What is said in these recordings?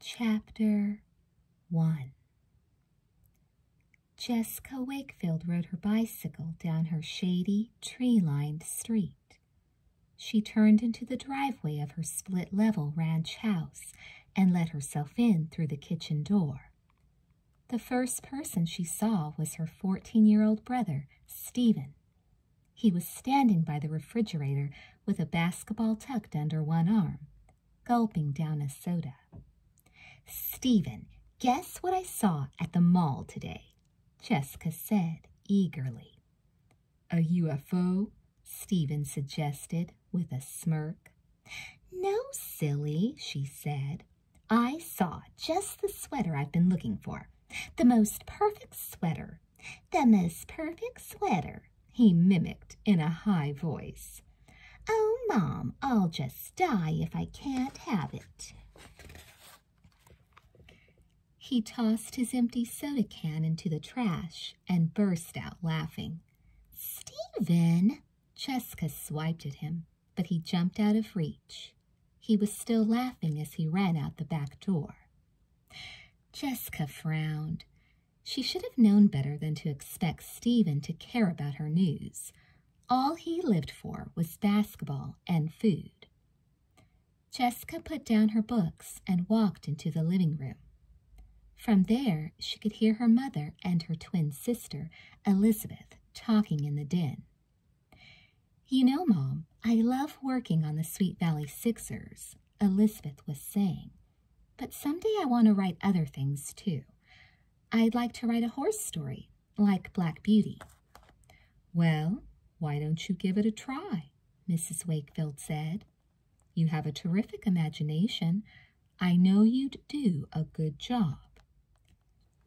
Chapter 1 Jessica Wakefield rode her bicycle down her shady, tree lined street. She turned into the driveway of her split level ranch house and let herself in through the kitchen door. The first person she saw was her 14 year old brother, Stephen. He was standing by the refrigerator with a basketball tucked under one arm, gulping down a soda. Stephen, guess what I saw at the mall today? Jessica said eagerly. A UFO? Stephen suggested with a smirk. No, silly, she said, I saw just the sweater I've been looking for. The most perfect sweater. The most perfect sweater, he mimicked in a high voice. Oh, Mom, I'll just die if I can't have it. He tossed his empty soda can into the trash and burst out laughing. Stephen! Jessica swiped at him but he jumped out of reach. He was still laughing as he ran out the back door. Jessica frowned. She should have known better than to expect Stephen to care about her news. All he lived for was basketball and food. Jessica put down her books and walked into the living room. From there, she could hear her mother and her twin sister, Elizabeth, talking in the den. You know, Mom, I love working on the Sweet Valley Sixers, Elizabeth was saying, but someday I want to write other things too. I'd like to write a horse story, like Black Beauty. Well, why don't you give it a try? Mrs. Wakefield said. You have a terrific imagination. I know you'd do a good job.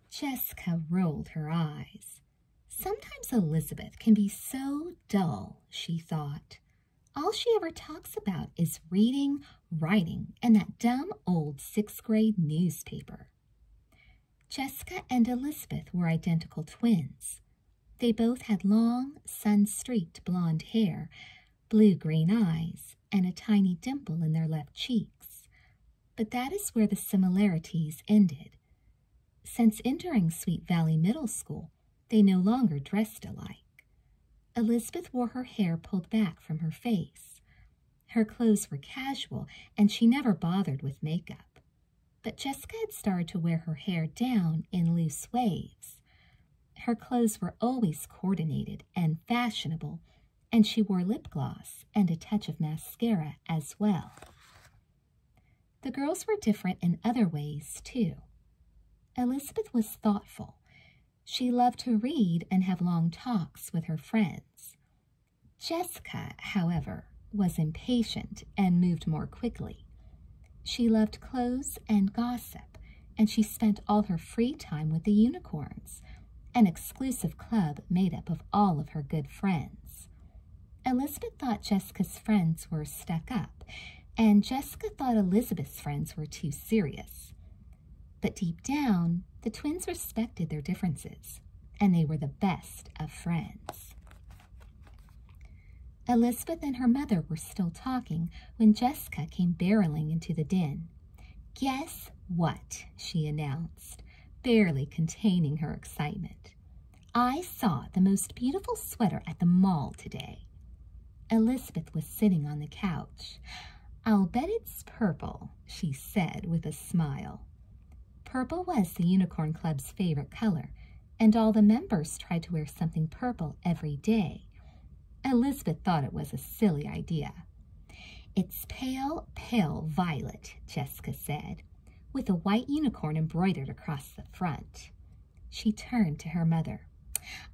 Jessica rolled her eyes. Sometimes Elizabeth can be so dull, she thought. All she ever talks about is reading, writing, and that dumb old sixth grade newspaper. Jessica and Elizabeth were identical twins. They both had long, sun-streaked blonde hair, blue-green eyes, and a tiny dimple in their left cheeks, but that is where the similarities ended. Since entering Sweet Valley Middle School, they no longer dressed alike. Elizabeth wore her hair pulled back from her face. Her clothes were casual, and she never bothered with makeup. But Jessica had started to wear her hair down in loose waves. Her clothes were always coordinated and fashionable, and she wore lip gloss and a touch of mascara as well. The girls were different in other ways, too. Elizabeth was thoughtful. She loved to read and have long talks with her friends. Jessica, however, was impatient and moved more quickly. She loved clothes and gossip, and she spent all her free time with the unicorns, an exclusive club made up of all of her good friends. Elizabeth thought Jessica's friends were stuck up, and Jessica thought Elizabeth's friends were too serious. But deep down, the twins respected their differences, and they were the best of friends. Elizabeth and her mother were still talking when Jessica came barreling into the den. Guess what? she announced, barely containing her excitement. I saw the most beautiful sweater at the mall today. Elizabeth was sitting on the couch. I'll bet it's purple, she said with a smile. Purple was the Unicorn Club's favorite color, and all the members tried to wear something purple every day. Elizabeth thought it was a silly idea. It's pale, pale violet, Jessica said with a white unicorn embroidered across the front. She turned to her mother.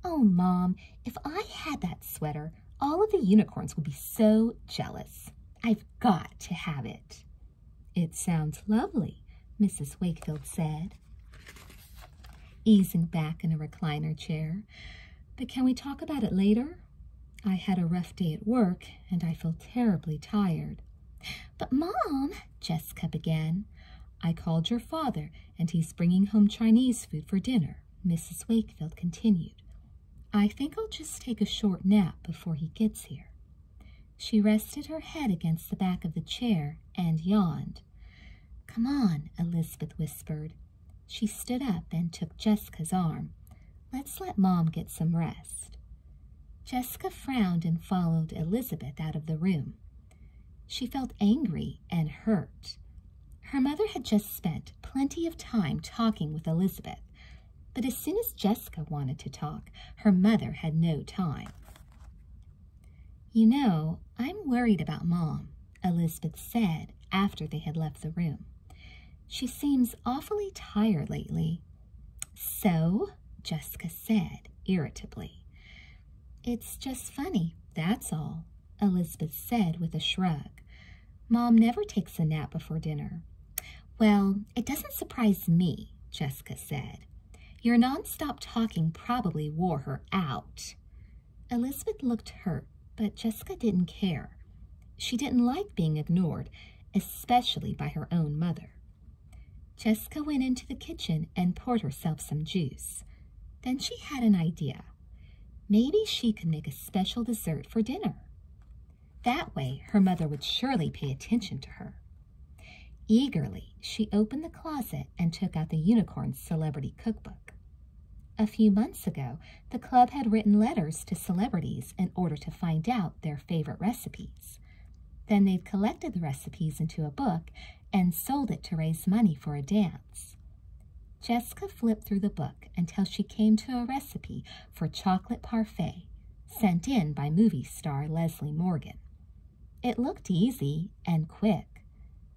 Oh, Mom, if I had that sweater, all of the unicorns would be so jealous. I've got to have it. It sounds lovely, Mrs. Wakefield said, easing back in a recliner chair. But can we talk about it later? I had a rough day at work, and I feel terribly tired. But, Mom, Jessica began, I called your father, and he's bringing home Chinese food for dinner, Mrs. Wakefield continued. I think I'll just take a short nap before he gets here. She rested her head against the back of the chair and yawned. Come on, Elizabeth whispered. She stood up and took Jessica's arm. Let's let Mom get some rest. Jessica frowned and followed Elizabeth out of the room. She felt angry and hurt. Her mother had just spent plenty of time talking with Elizabeth, but as soon as Jessica wanted to talk, her mother had no time. You know, I'm worried about Mom, Elizabeth said after they had left the room. She seems awfully tired lately. So, Jessica said irritably. It's just funny, that's all, Elizabeth said with a shrug. Mom never takes a nap before dinner. Well, it doesn't surprise me, Jessica said. Your nonstop talking probably wore her out. Elizabeth looked hurt, but Jessica didn't care. She didn't like being ignored, especially by her own mother. Jessica went into the kitchen and poured herself some juice. Then she had an idea. Maybe she could make a special dessert for dinner. That way, her mother would surely pay attention to her. Eagerly, she opened the closet and took out the Unicorn's Celebrity Cookbook. A few months ago, the club had written letters to celebrities in order to find out their favorite recipe. Then they've collected the recipes into a book and sold it to raise money for a dance. Jessica flipped through the book until she came to a recipe for chocolate parfait sent in by movie star Leslie Morgan. It looked easy and quick.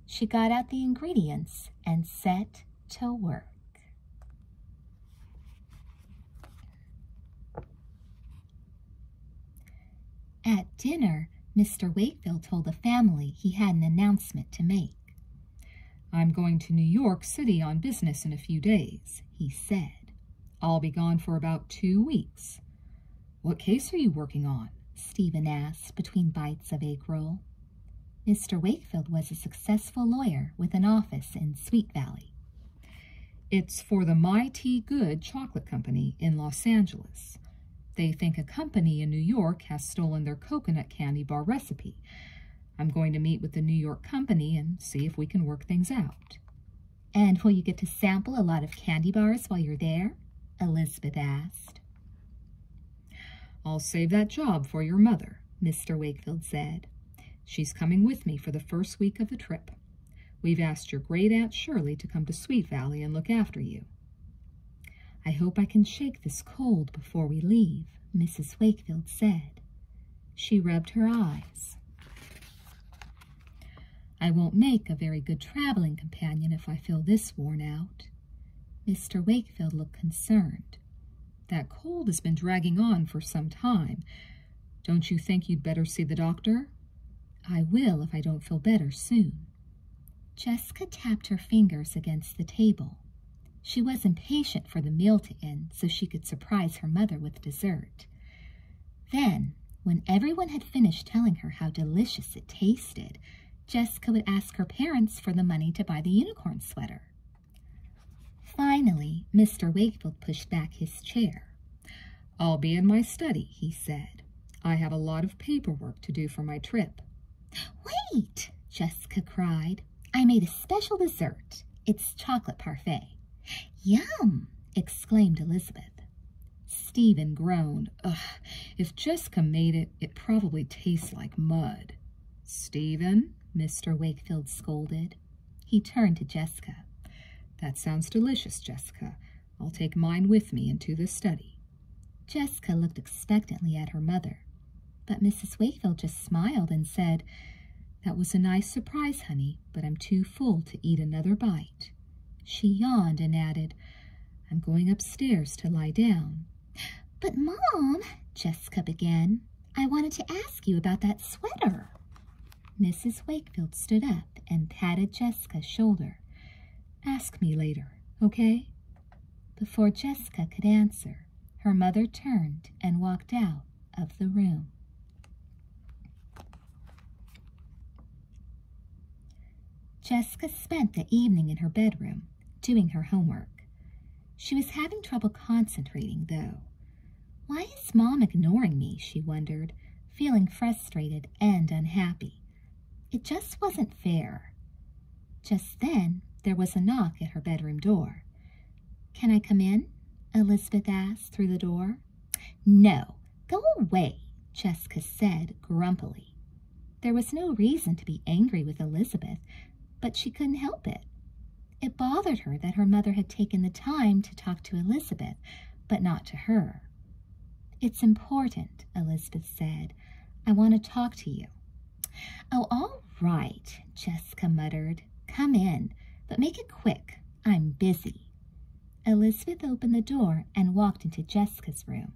She got out the ingredients and set to work. At dinner, Mr. Wakefield told the family he had an announcement to make. I'm going to New York City on business in a few days, he said. I'll be gone for about two weeks. What case are you working on? Stephen asked between bites of egg roll. Mr. Wakefield was a successful lawyer with an office in Sweet Valley. It's for the My Tea Good Chocolate Company in Los Angeles. They think a company in New York has stolen their coconut candy bar recipe. I'm going to meet with the New York company and see if we can work things out. And will you get to sample a lot of candy bars while you're there? Elizabeth asked. I'll save that job for your mother, Mr. Wakefield said. She's coming with me for the first week of the trip. We've asked your great aunt Shirley to come to Sweet Valley and look after you. I hope I can shake this cold before we leave, Mrs. Wakefield said. She rubbed her eyes. I won't make a very good traveling companion if I feel this worn out. Mr. Wakefield looked concerned. That cold has been dragging on for some time, don't you think you'd better see the doctor? I will if I don't feel better soon. Jessica tapped her fingers against the table. She was impatient for the meal to end so she could surprise her mother with dessert. Then, when everyone had finished telling her how delicious it tasted, Jessica would ask her parents for the money to buy the unicorn sweater. Finally, Mr. Wakefield pushed back his chair. I'll be in my study, he said. I have a lot of paperwork to do for my trip. Wait, Jessica cried. I made a special dessert. It's chocolate parfait. Yum, exclaimed Elizabeth. Stephen groaned. if Jessica made it, it probably tastes like mud. Stephen, Mr. Wakefield scolded. He turned to Jessica. That sounds delicious, Jessica. I'll take mine with me into the study. Jessica looked expectantly at her mother, but Mrs. Wakefield just smiled and said, That was a nice surprise, honey, but I'm too full to eat another bite. She yawned and added, I'm going upstairs to lie down. But, Mom, Jessica began, I wanted to ask you about that sweater. Mrs. Wakefield stood up and patted Jessica's shoulder. Ask me later, okay? Before Jessica could answer, her mother turned and walked out of the room. Jessica spent the evening in her bedroom doing her homework. She was having trouble concentrating, though. Why is Mom ignoring me? she wondered, feeling frustrated and unhappy. It just wasn't fair. Just then, there was a knock at her bedroom door. Can I come in? Elizabeth asked through the door. No, go away, Jessica said grumpily. There was no reason to be angry with Elizabeth, but she couldn't help it. It bothered her that her mother had taken the time to talk to Elizabeth but not to her. It's important, Elizabeth said. I want to talk to you. Oh, all right, Jessica muttered. Come in, but make it quick. I'm busy. Elizabeth opened the door and walked into Jessica's room.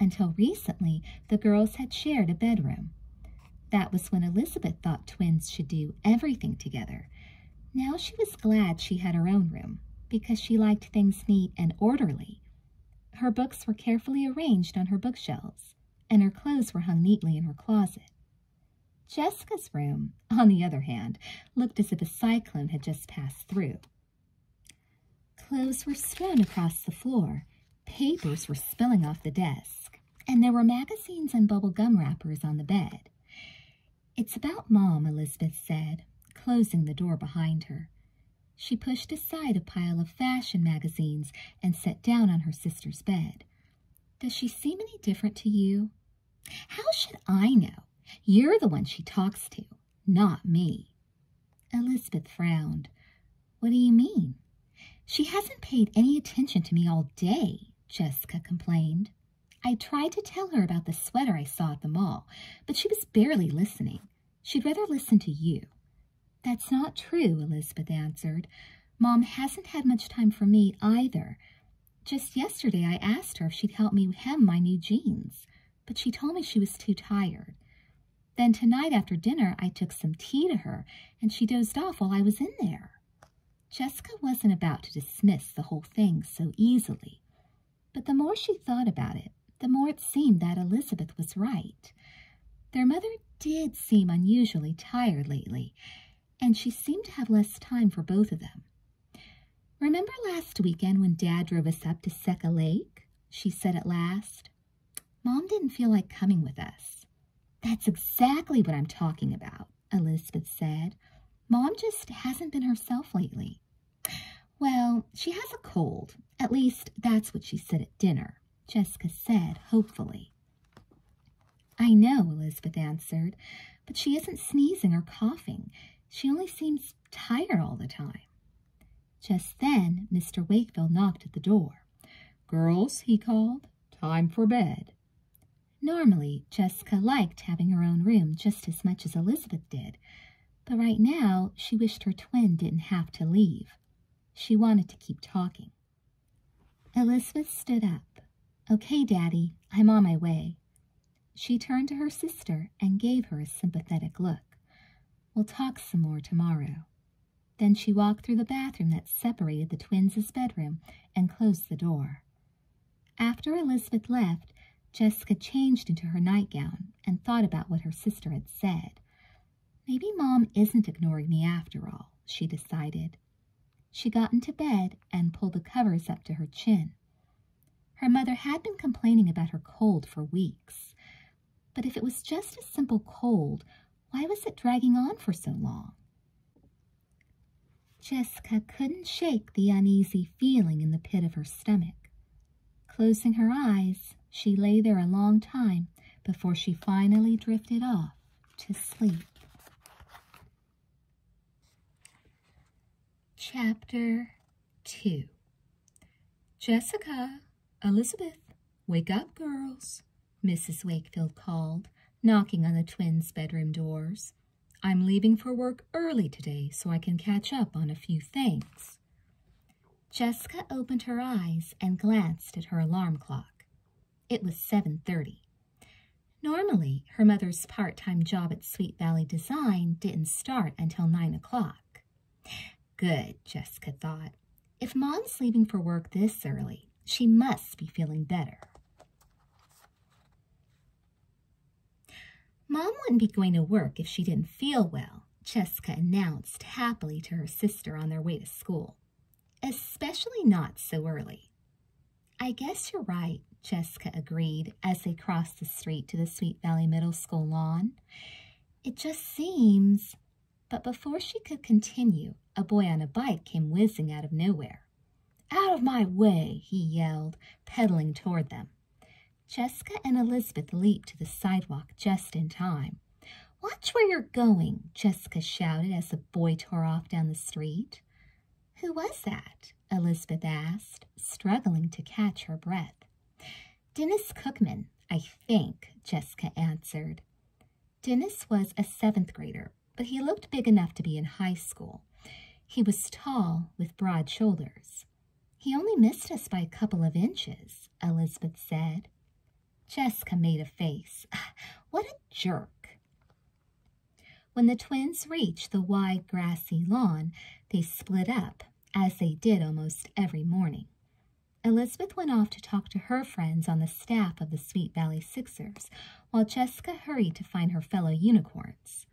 Until recently, the girls had shared a bedroom. That was when Elizabeth thought twins should do everything together. Now she was glad she had her own room because she liked things neat and orderly. Her books were carefully arranged on her bookshelves, and her clothes were hung neatly in her closet. Jessica's room, on the other hand, looked as if a cyclone had just passed through. Clothes were strewn across the floor, papers were spilling off the desk, and there were magazines and bubble gum wrappers on the bed. It's about Mom, Elizabeth said, closing the door behind her. She pushed aside a pile of fashion magazines and sat down on her sister's bed. Does she seem any different to you? How should I know? You're the one she talks to, not me. Elizabeth frowned. What do you mean? She hasn't paid any attention to me all day, Jessica complained. I tried to tell her about the sweater I saw at the mall, but she was barely listening. She'd rather listen to you. That's not true, Elizabeth answered. Mom hasn't had much time for me either. Just yesterday I asked her if she'd help me hem my new jeans, but she told me she was too tired. Then tonight after dinner I took some tea to her, and she dozed off while I was in there. Jessica wasn't about to dismiss the whole thing so easily, but the more she thought about it, the more it seemed that Elizabeth was right. Their mother did seem unusually tired lately, and she seemed to have less time for both of them. Remember last weekend when Dad drove us up to Seca Lake? She said at last. Mom didn't feel like coming with us. That's exactly what I'm talking about. Elizabeth said. Mom just hasn't been herself lately. Well, she has a cold. At least that's what she said at dinner, Jessica said hopefully. I know, Elizabeth answered, but she isn't sneezing or coughing. She only seems tired all the time. Just then, Mr. Wakefield knocked at the door. Girls, he called, time for bed. Normally, Jessica liked having her own room just as much as Elizabeth did, but right now she wished her twin didn't have to leave. She wanted to keep talking. Elizabeth stood up. Okay, Daddy, I'm on my way. She turned to her sister and gave her a sympathetic look. We'll talk some more tomorrow. Then she walked through the bathroom that separated the twins' bedroom and closed the door. After Elizabeth left, Jessica changed into her nightgown and thought about what her sister had said. Maybe Mom isn't ignoring me after all, she decided. She got into bed and pulled the covers up to her chin. Her mother had been complaining about her cold for weeks. But if it was just a simple cold, why was it dragging on for so long? Jessica couldn't shake the uneasy feeling in the pit of her stomach. Closing her eyes, she lay there a long time before she finally drifted off to sleep. Chapter 2 Jessica, Elizabeth, wake up, girls, Mrs. Wakefield called, knocking on the twins' bedroom doors. I'm leaving for work early today so I can catch up on a few things. Jessica opened her eyes and glanced at her alarm clock. It was 7.30. Normally, her mother's part-time job at Sweet Valley Design didn't start until 9 o'clock. Good, Jessica thought. If Mom's leaving for work this early, she must be feeling better. Mom wouldn't be going to work if she didn't feel well, Jessica announced happily to her sister on their way to school. Especially not so early. I guess you're right, Jessica agreed as they crossed the street to the Sweet Valley Middle School lawn. It just seems... But before she could continue, a boy on a bike came whizzing out of nowhere. Out of my way, he yelled, pedaling toward them. Jessica and Elizabeth leaped to the sidewalk just in time. Watch where you're going, Jessica shouted as the boy tore off down the street. Who was that? Elizabeth asked, struggling to catch her breath. Dennis Cookman, I think, Jessica answered. Dennis was a seventh grader, but he looked big enough to be in high school. He was tall, with broad shoulders. He only missed us by a couple of inches, Elizabeth said. Jessica made a face. What a jerk. When the twins reached the wide grassy lawn, they split up, as they did almost every morning. Elizabeth went off to talk to her friends on the staff of the Sweet Valley Sixers, while Jessica hurried to find her fellow unicorns.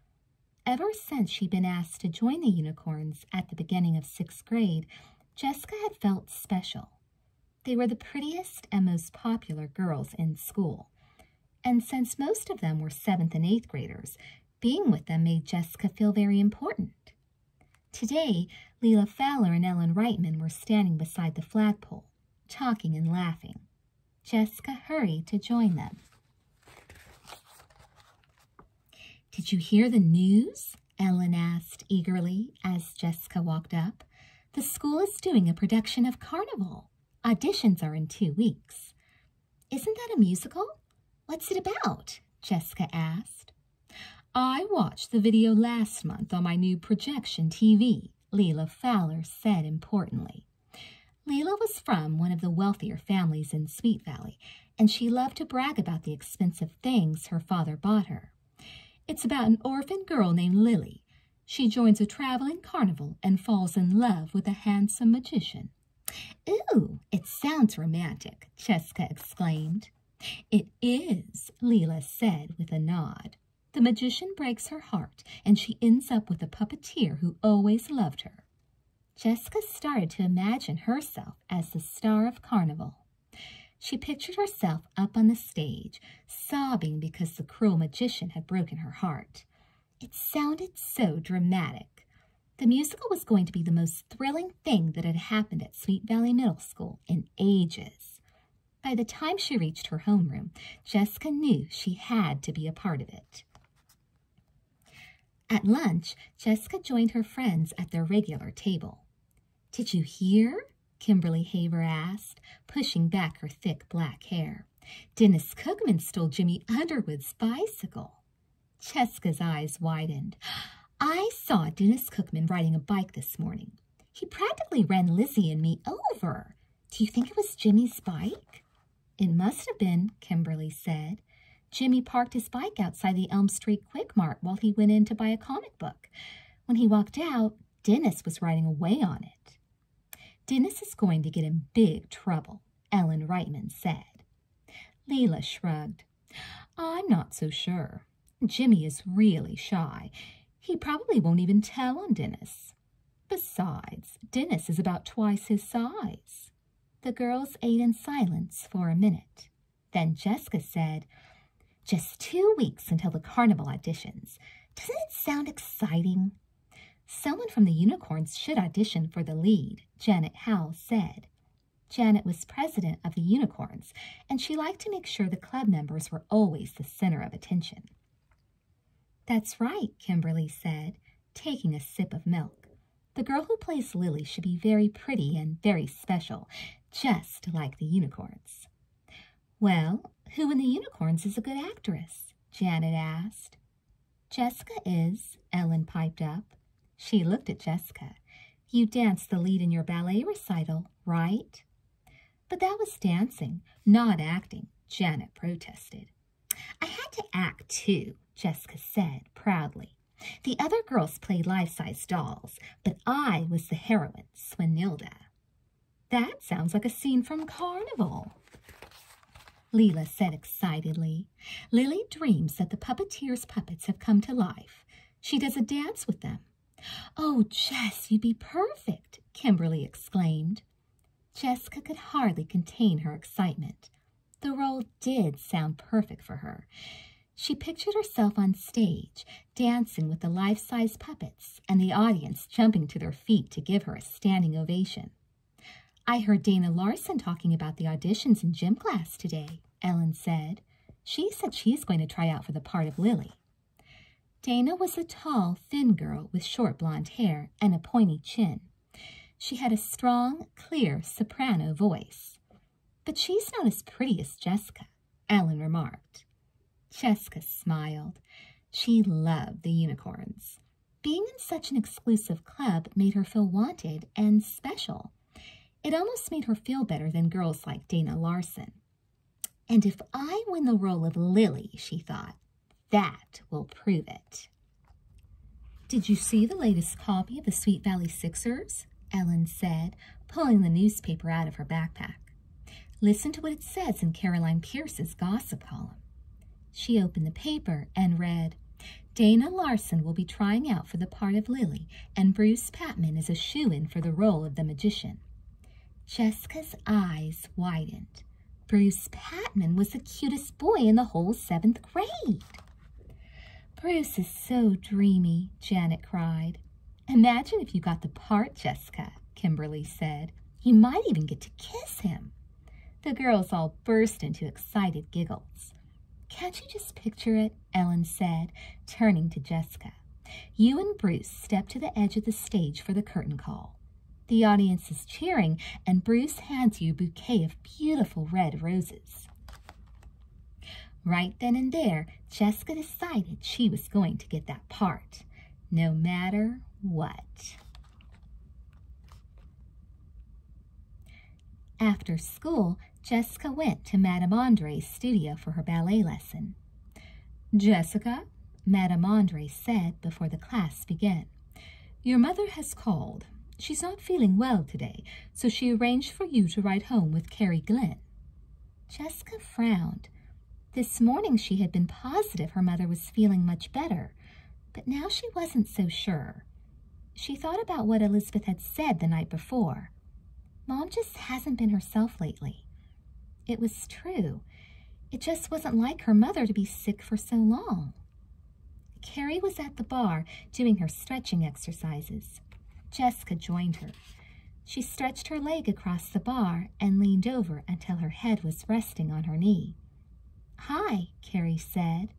Ever since she'd been asked to join the unicorns at the beginning of sixth grade, Jessica had felt special. They were the prettiest and most popular girls in school. And since most of them were seventh and eighth graders, being with them made Jessica feel very important. Today, Leila Fowler and Ellen Reitman were standing beside the flagpole, talking and laughing. Jessica hurried to join them. Did you hear the news? Ellen asked eagerly as Jessica walked up. The school is doing a production of Carnival. Auditions are in two weeks. Isn't that a musical? What's it about? Jessica asked. I watched the video last month on my new projection TV, Leila Fowler said importantly. Leila was from one of the wealthier families in Sweet Valley, and she loved to brag about the expensive things her father bought her. It's about an orphan girl named Lily. She joins a traveling carnival and falls in love with a handsome magician. Ooh, it sounds romantic, Cheska exclaimed. It is, Leela said with a nod. The magician breaks her heart, and she ends up with a puppeteer who always loved her. Jessica started to imagine herself as the star of Carnival. She pictured herself up on the stage, sobbing because the cruel magician had broken her heart. It sounded so dramatic. The musical was going to be the most thrilling thing that had happened at Sweet Valley Middle School in ages. By the time she reached her homeroom, Jessica knew she had to be a part of it. At lunch, Jessica joined her friends at their regular table. Did you hear? Kimberly Haver asked, pushing back her thick black hair. Dennis Cookman stole Jimmy Underwood's bicycle. Cheska's eyes widened. I saw Dennis Cookman riding a bike this morning. He practically ran Lizzie and me over. Do you think it was Jimmy's bike? It must have been, Kimberly said. Jimmy parked his bike outside the Elm Street Quick Mart while he went in to buy a comic book. When he walked out, Dennis was riding away on it. Dennis is going to get in big trouble, Ellen Reitman said. Leela shrugged. I'm not so sure. Jimmy is really shy. He probably won't even tell on Dennis. Besides, Dennis is about twice his size. The girls ate in silence for a minute. Then Jessica said, Just two weeks until the carnival auditions. Doesn't it sound exciting? Someone from the Unicorns should audition for the lead, Janet Howell said. Janet was president of the Unicorns, and she liked to make sure the club members were always the center of attention. That's right, Kimberly said, taking a sip of milk. The girl who plays Lily should be very pretty and very special, just like the unicorns. Well, who in the unicorns is a good actress? Janet asked. Jessica is, Ellen piped up. She looked at Jessica. You danced the lead in your ballet recital, right? But that was dancing, not acting, Janet protested. I had to act too, Jessica said proudly. The other girls played life-size dolls, but I was the heroine, Swanilda. That sounds like a scene from Carnival. Leela said excitedly. Lily dreams that the puppeteer's puppets have come to life. She does a dance with them. Oh, Jess, you'd be perfect, Kimberly exclaimed. Jessica could hardly contain her excitement. The role did sound perfect for her. She pictured herself on stage, dancing with the life-size puppets and the audience jumping to their feet to give her a standing ovation. I heard Dana Larson talking about the auditions in gym class today, Ellen said. She said she's going to try out for the part of Lily. Dana was a tall, thin girl with short blonde hair and a pointy chin. She had a strong, clear soprano voice. But she's not as pretty as Jessica, Alan remarked. Jessica smiled. She loved the unicorns. Being in such an exclusive club made her feel wanted and special. It almost made her feel better than girls like Dana Larson. And if I win the role of Lily, she thought, that will prove it. Did you see the latest copy of the Sweet Valley Sixers? Ellen said, pulling the newspaper out of her backpack. Listen to what it says in Caroline Pierce's gossip column. She opened the paper and read, Dana Larson will be trying out for the part of Lily, and Bruce Patman is a shoe-in for the role of the magician. Jessica's eyes widened. Bruce Patman was the cutest boy in the whole seventh grade. Bruce is so dreamy, Janet cried. Imagine if you got the part, Jessica, Kimberly said. You might even get to kiss him. The girls all burst into excited giggles. Can't you just picture it? Ellen said, turning to Jessica. You and Bruce step to the edge of the stage for the curtain call. The audience is cheering, and Bruce hands you a bouquet of beautiful red roses. Right then and there, Jessica decided she was going to get that part, no matter what. After school, Jessica went to Madame Andre's studio for her ballet lesson. Jessica, Madame Andre said before the class began, your mother has called. She's not feeling well today, so she arranged for you to ride home with Carrie Glynn. Jessica frowned. This morning she had been positive her mother was feeling much better, but now she wasn't so sure. She thought about what Elizabeth had said the night before. Mom just hasn't been herself lately. It was true. It just wasn't like her mother to be sick for so long. Carrie was at the bar doing her stretching exercises. Jessica joined her. She stretched her leg across the bar and leaned over until her head was resting on her knee. Hi, Carrie said.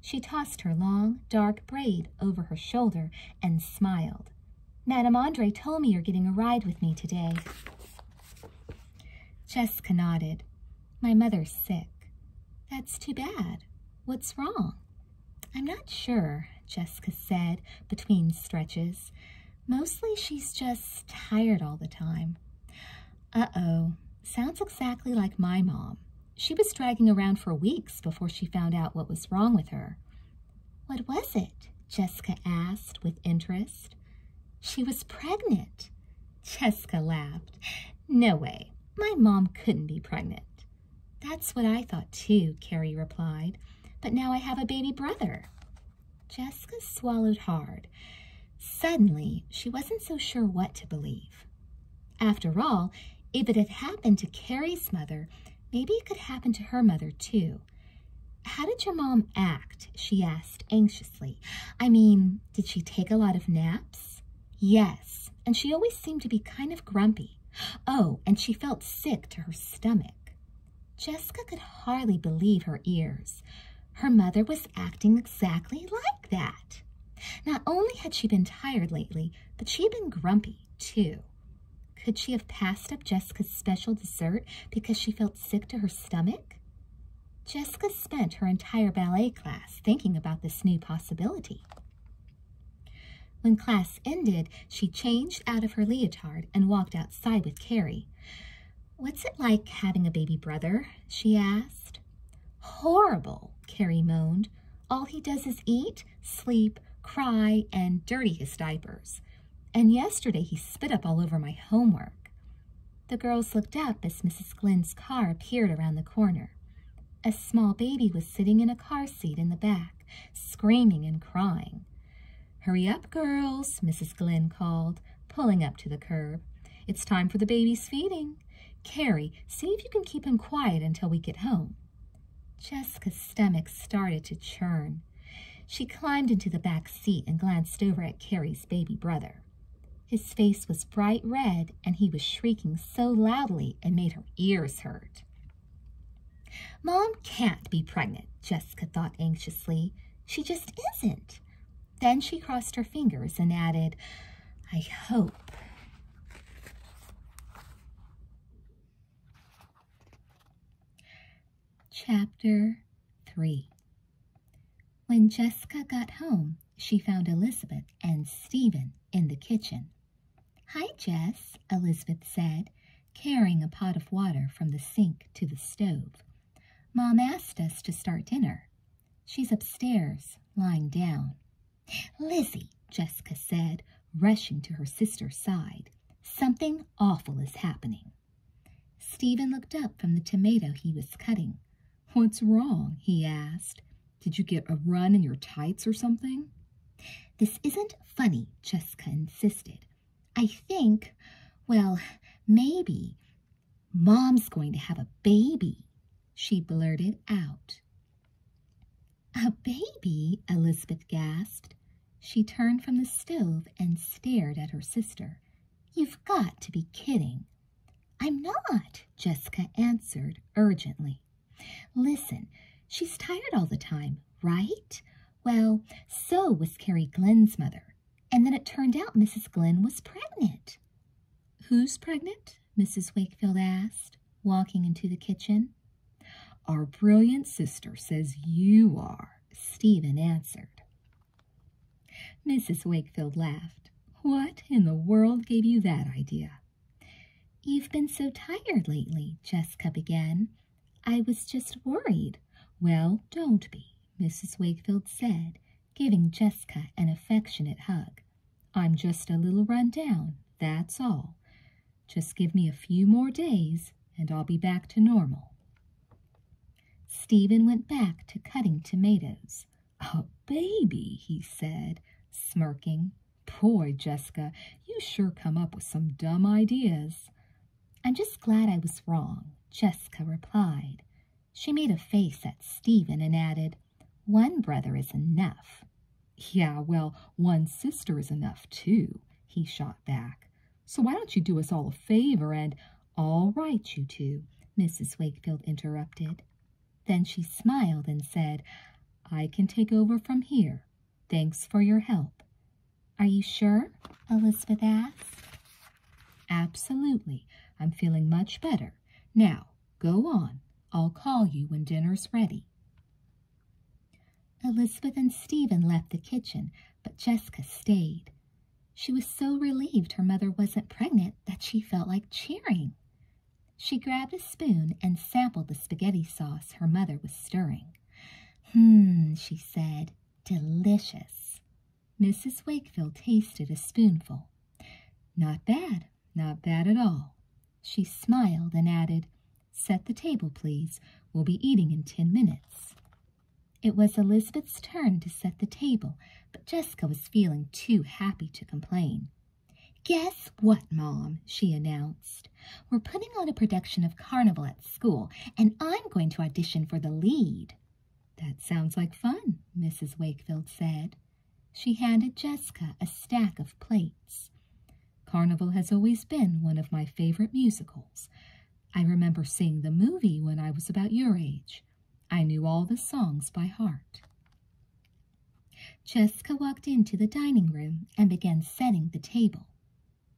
She tossed her long, dark braid over her shoulder and smiled. Madame Andre told me you're getting a ride with me today. Jessica nodded. My mother's sick. That's too bad. What's wrong? I'm not sure, Jessica said between stretches. Mostly she's just tired all the time. Uh-oh, sounds exactly like my mom. She was dragging around for weeks before she found out what was wrong with her. What was it? Jessica asked with interest. She was pregnant. Cheska laughed. No way. My mom couldn't be pregnant. That's what I thought too, Carrie replied. But now I have a baby brother. Jessica swallowed hard. Suddenly, she wasn't so sure what to believe. After all, if it had happened to Carrie's mother, maybe it could happen to her mother too. How did your mom act? she asked anxiously. I mean, did she take a lot of naps? Yes, and she always seemed to be kind of grumpy. Oh, and she felt sick to her stomach. Jessica could hardly believe her ears. Her mother was acting exactly like that. Not only had she been tired lately, but she had been grumpy, too. Could she have passed up Jessica's special dessert because she felt sick to her stomach? Jessica spent her entire ballet class thinking about this new possibility. When class ended, she changed out of her leotard and walked outside with Carrie. What's it like having a baby brother? she asked. Horrible, Carrie moaned. All he does is eat, sleep, cry, and dirty his diapers. And yesterday he spit up all over my homework. The girls looked up as Mrs. Glynn's car appeared around the corner. A small baby was sitting in a car seat in the back, screaming and crying. Hurry up, girls, Mrs. Glynn called, pulling up to the curb. It's time for the baby's feeding. Carrie, see if you can keep him quiet until we get home. Jessica's stomach started to churn. She climbed into the back seat and glanced over at Carrie's baby brother. His face was bright red and he was shrieking so loudly it made her ears hurt. Mom can't be pregnant, Jessica thought anxiously. She just isn't. Then she crossed her fingers and added, I hope. Chapter 3 when Jessica got home, she found Elizabeth and Stephen in the kitchen. Hi, Jess, Elizabeth said, carrying a pot of water from the sink to the stove. Mom asked us to start dinner. She's upstairs, lying down. Lizzie, Jessica said, rushing to her sister's side. Something awful is happening. Stephen looked up from the tomato he was cutting. What's wrong? he asked. Did you get a run in your tights or something? This isn't funny, Jessica insisted. I think, well, maybe Mom's going to have a baby, she blurted out. A baby? Elizabeth gasped. She turned from the stove and stared at her sister. You've got to be kidding. I'm not, Jessica answered urgently. Listen, she's tired all the time, right? Well, so was Carrie Glenn's mother. And then it turned out Mrs. Glenn was pregnant. Who's pregnant? Mrs. Wakefield asked, walking into the kitchen. Our brilliant sister says you are, Stephen answered. Mrs. Wakefield laughed. What in the world gave you that idea? You've been so tired lately, Jessica began. I was just worried. Well, don't be, Mrs. Wakefield said, giving Jessica an affectionate hug. I'm just a little run down, that's all. Just give me a few more days and I'll be back to normal. Stephen went back to cutting tomatoes. A baby, he said, smirking. Boy, Jessica, you sure come up with some dumb ideas. I'm just glad I was wrong, Jessica replied. She made a face at Stephen and added, One brother is enough. Yeah, well, one sister is enough, too, he shot back. So why don't you do us all a favor and... All right, you two?" Mrs. Wakefield interrupted. Then she smiled and said, I can take over from here. Thanks for your help. Are you sure? Elizabeth asked. Absolutely. I'm feeling much better. Now, go on. I'll call you when dinner's ready. Elizabeth and Stephen left the kitchen, but Jessica stayed. She was so relieved her mother wasn't pregnant that she felt like cheering. She grabbed a spoon and sampled the spaghetti sauce her mother was stirring. "Hm," she said. Delicious. Mrs. Wakefield tasted a spoonful. Not bad, not bad at all. She smiled and added, Set the table, please. We'll be eating in ten minutes. It was Elizabeth's turn to set the table, but Jessica was feeling too happy to complain. Guess what, Mom? she announced. We're putting on a production of Carnival at school, and I'm going to audition for the lead. That sounds like fun, Mrs. Wakefield said. She handed Jessica a stack of plates. Carnival has always been one of my favorite musicals. I remember seeing the movie when I was about your age. I knew all the songs by heart. Jessica walked into the dining room and began setting the table.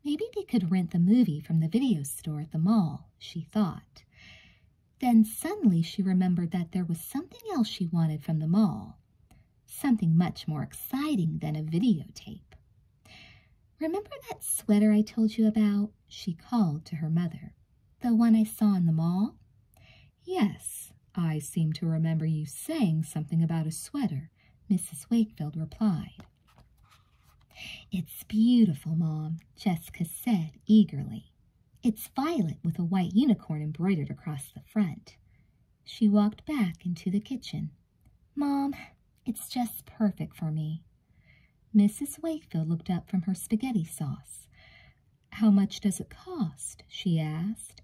Maybe they could rent the movie from the video store at the mall, she thought. Then suddenly she remembered that there was something else she wanted from the mall, something much more exciting than a videotape. Remember that sweater I told you about? She called to her mother. The one I saw in the mall? Yes, I seem to remember you saying something about a sweater, Mrs. Wakefield replied. It's beautiful, Mom, Jessica said eagerly. It's violet with a white unicorn embroidered across the front. She walked back into the kitchen. Mom, it's just perfect for me. Mrs. Wakefield looked up from her spaghetti sauce. How much does it cost? she asked.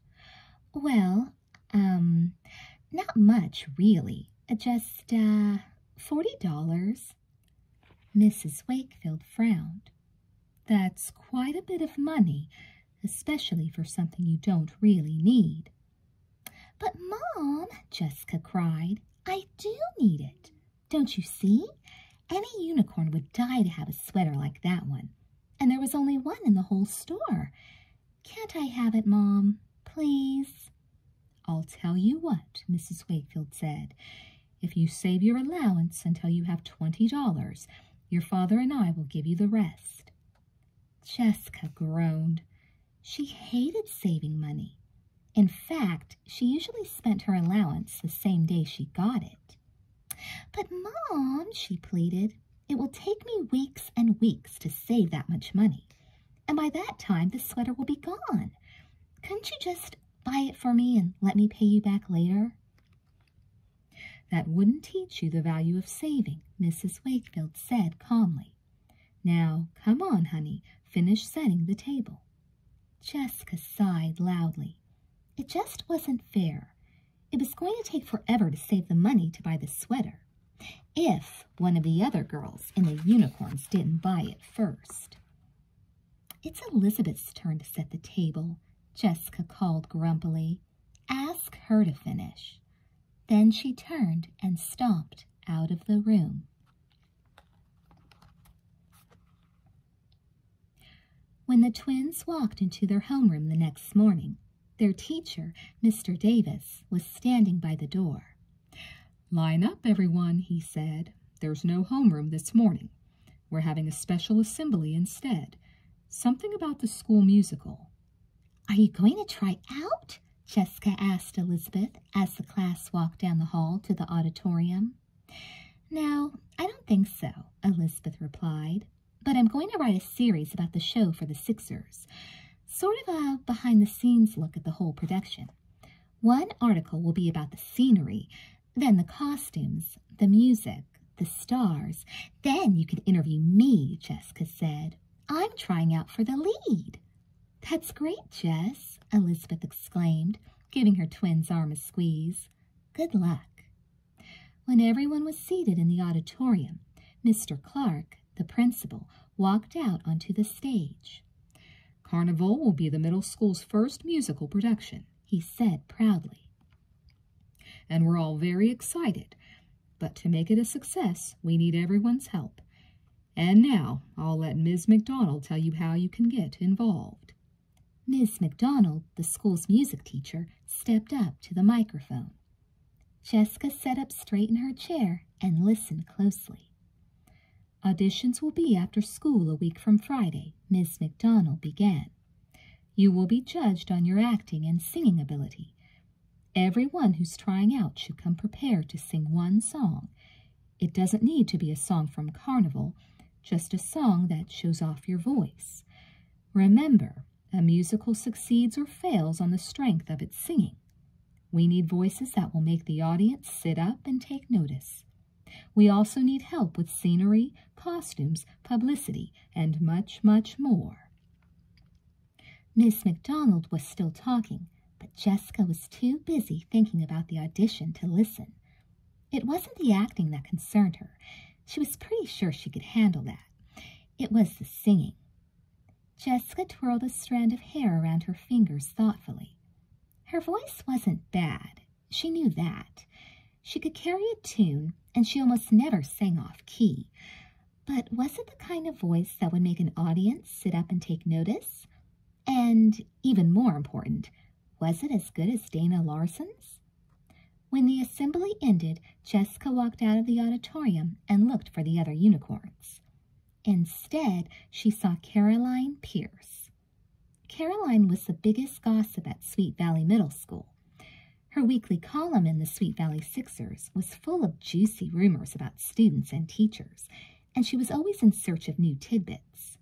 Well, um, not much really. Uh, just, uh, forty dollars. Mrs. Wakefield frowned. That's quite a bit of money, especially for something you don't really need. But, Mom, Jessica cried, I do need it. Don't you see? Any unicorn would die to have a sweater like that one and there was only one in the whole store. Can't I have it, Mom? Please? I'll tell you what, Mrs. Wakefield said. If you save your allowance until you have twenty dollars, your father and I will give you the rest. Jessica groaned. She hated saving money. In fact, she usually spent her allowance the same day she got it. But, Mom, she pleaded, it will take me weeks and weeks to save that much money. And by that time, the sweater will be gone. Couldn't you just buy it for me and let me pay you back later? That wouldn't teach you the value of saving, Mrs. Wakefield said calmly. Now, come on, honey, finish setting the table. Jessica sighed loudly. It just wasn't fair. It was going to take forever to save the money to buy the sweater if one of the other girls in the unicorns didn't buy it first. It's Elizabeth's turn to set the table, Jessica called grumpily. Ask her to finish. Then she turned and stomped out of the room. When the twins walked into their homeroom the next morning, their teacher, Mr. Davis, was standing by the door. Line up, everyone, he said. There's no homeroom this morning. We're having a special assembly instead. Something about the school musical. Are you going to try out? Jessica asked Elizabeth as the class walked down the hall to the auditorium. No, I don't think so, Elizabeth replied. But I'm going to write a series about the show for the Sixers, sort of a behind the scenes look at the whole production. One article will be about the scenery, then the costumes, the music, the stars. Then you can interview me, Jessica said. I'm trying out for the lead. That's great, Jess, Elizabeth exclaimed, giving her twin's arm a squeeze. Good luck. When everyone was seated in the auditorium, Mr. Clark, the principal, walked out onto the stage. Carnival will be the middle school's first musical production, he said proudly. And we're all very excited, but to make it a success, we need everyone's help. And now I'll let Ms. McDonald tell you how you can get involved. Miss McDonald, the school's music teacher, stepped up to the microphone. Jessica sat up straight in her chair and listened closely. Auditions will be after school a week from Friday, Miss McDonald began. You will be judged on your acting and singing ability. Everyone who's trying out should come prepared to sing one song. It doesn't need to be a song from Carnival, just a song that shows off your voice. Remember, a musical succeeds or fails on the strength of its singing. We need voices that will make the audience sit up and take notice. We also need help with scenery, costumes, publicity, and much, much more. Miss MacDonald was still talking, but Jessica was too busy thinking about the audition to listen. It wasn't the acting that concerned her. She was pretty sure she could handle that. It was the singing. Jessica twirled a strand of hair around her fingers thoughtfully. Her voice wasn't bad. She knew that. She could carry a tune, and she almost never sang off key. But was it the kind of voice that would make an audience sit up and take notice? And, even more important, was it as good as Dana Larson's? When the assembly ended, Jessica walked out of the auditorium and looked for the other unicorns. Instead, she saw Caroline Pierce. Caroline was the biggest gossip at Sweet Valley Middle School. Her weekly column in the Sweet Valley Sixers was full of juicy rumors about students and teachers, and she was always in search of new tidbits.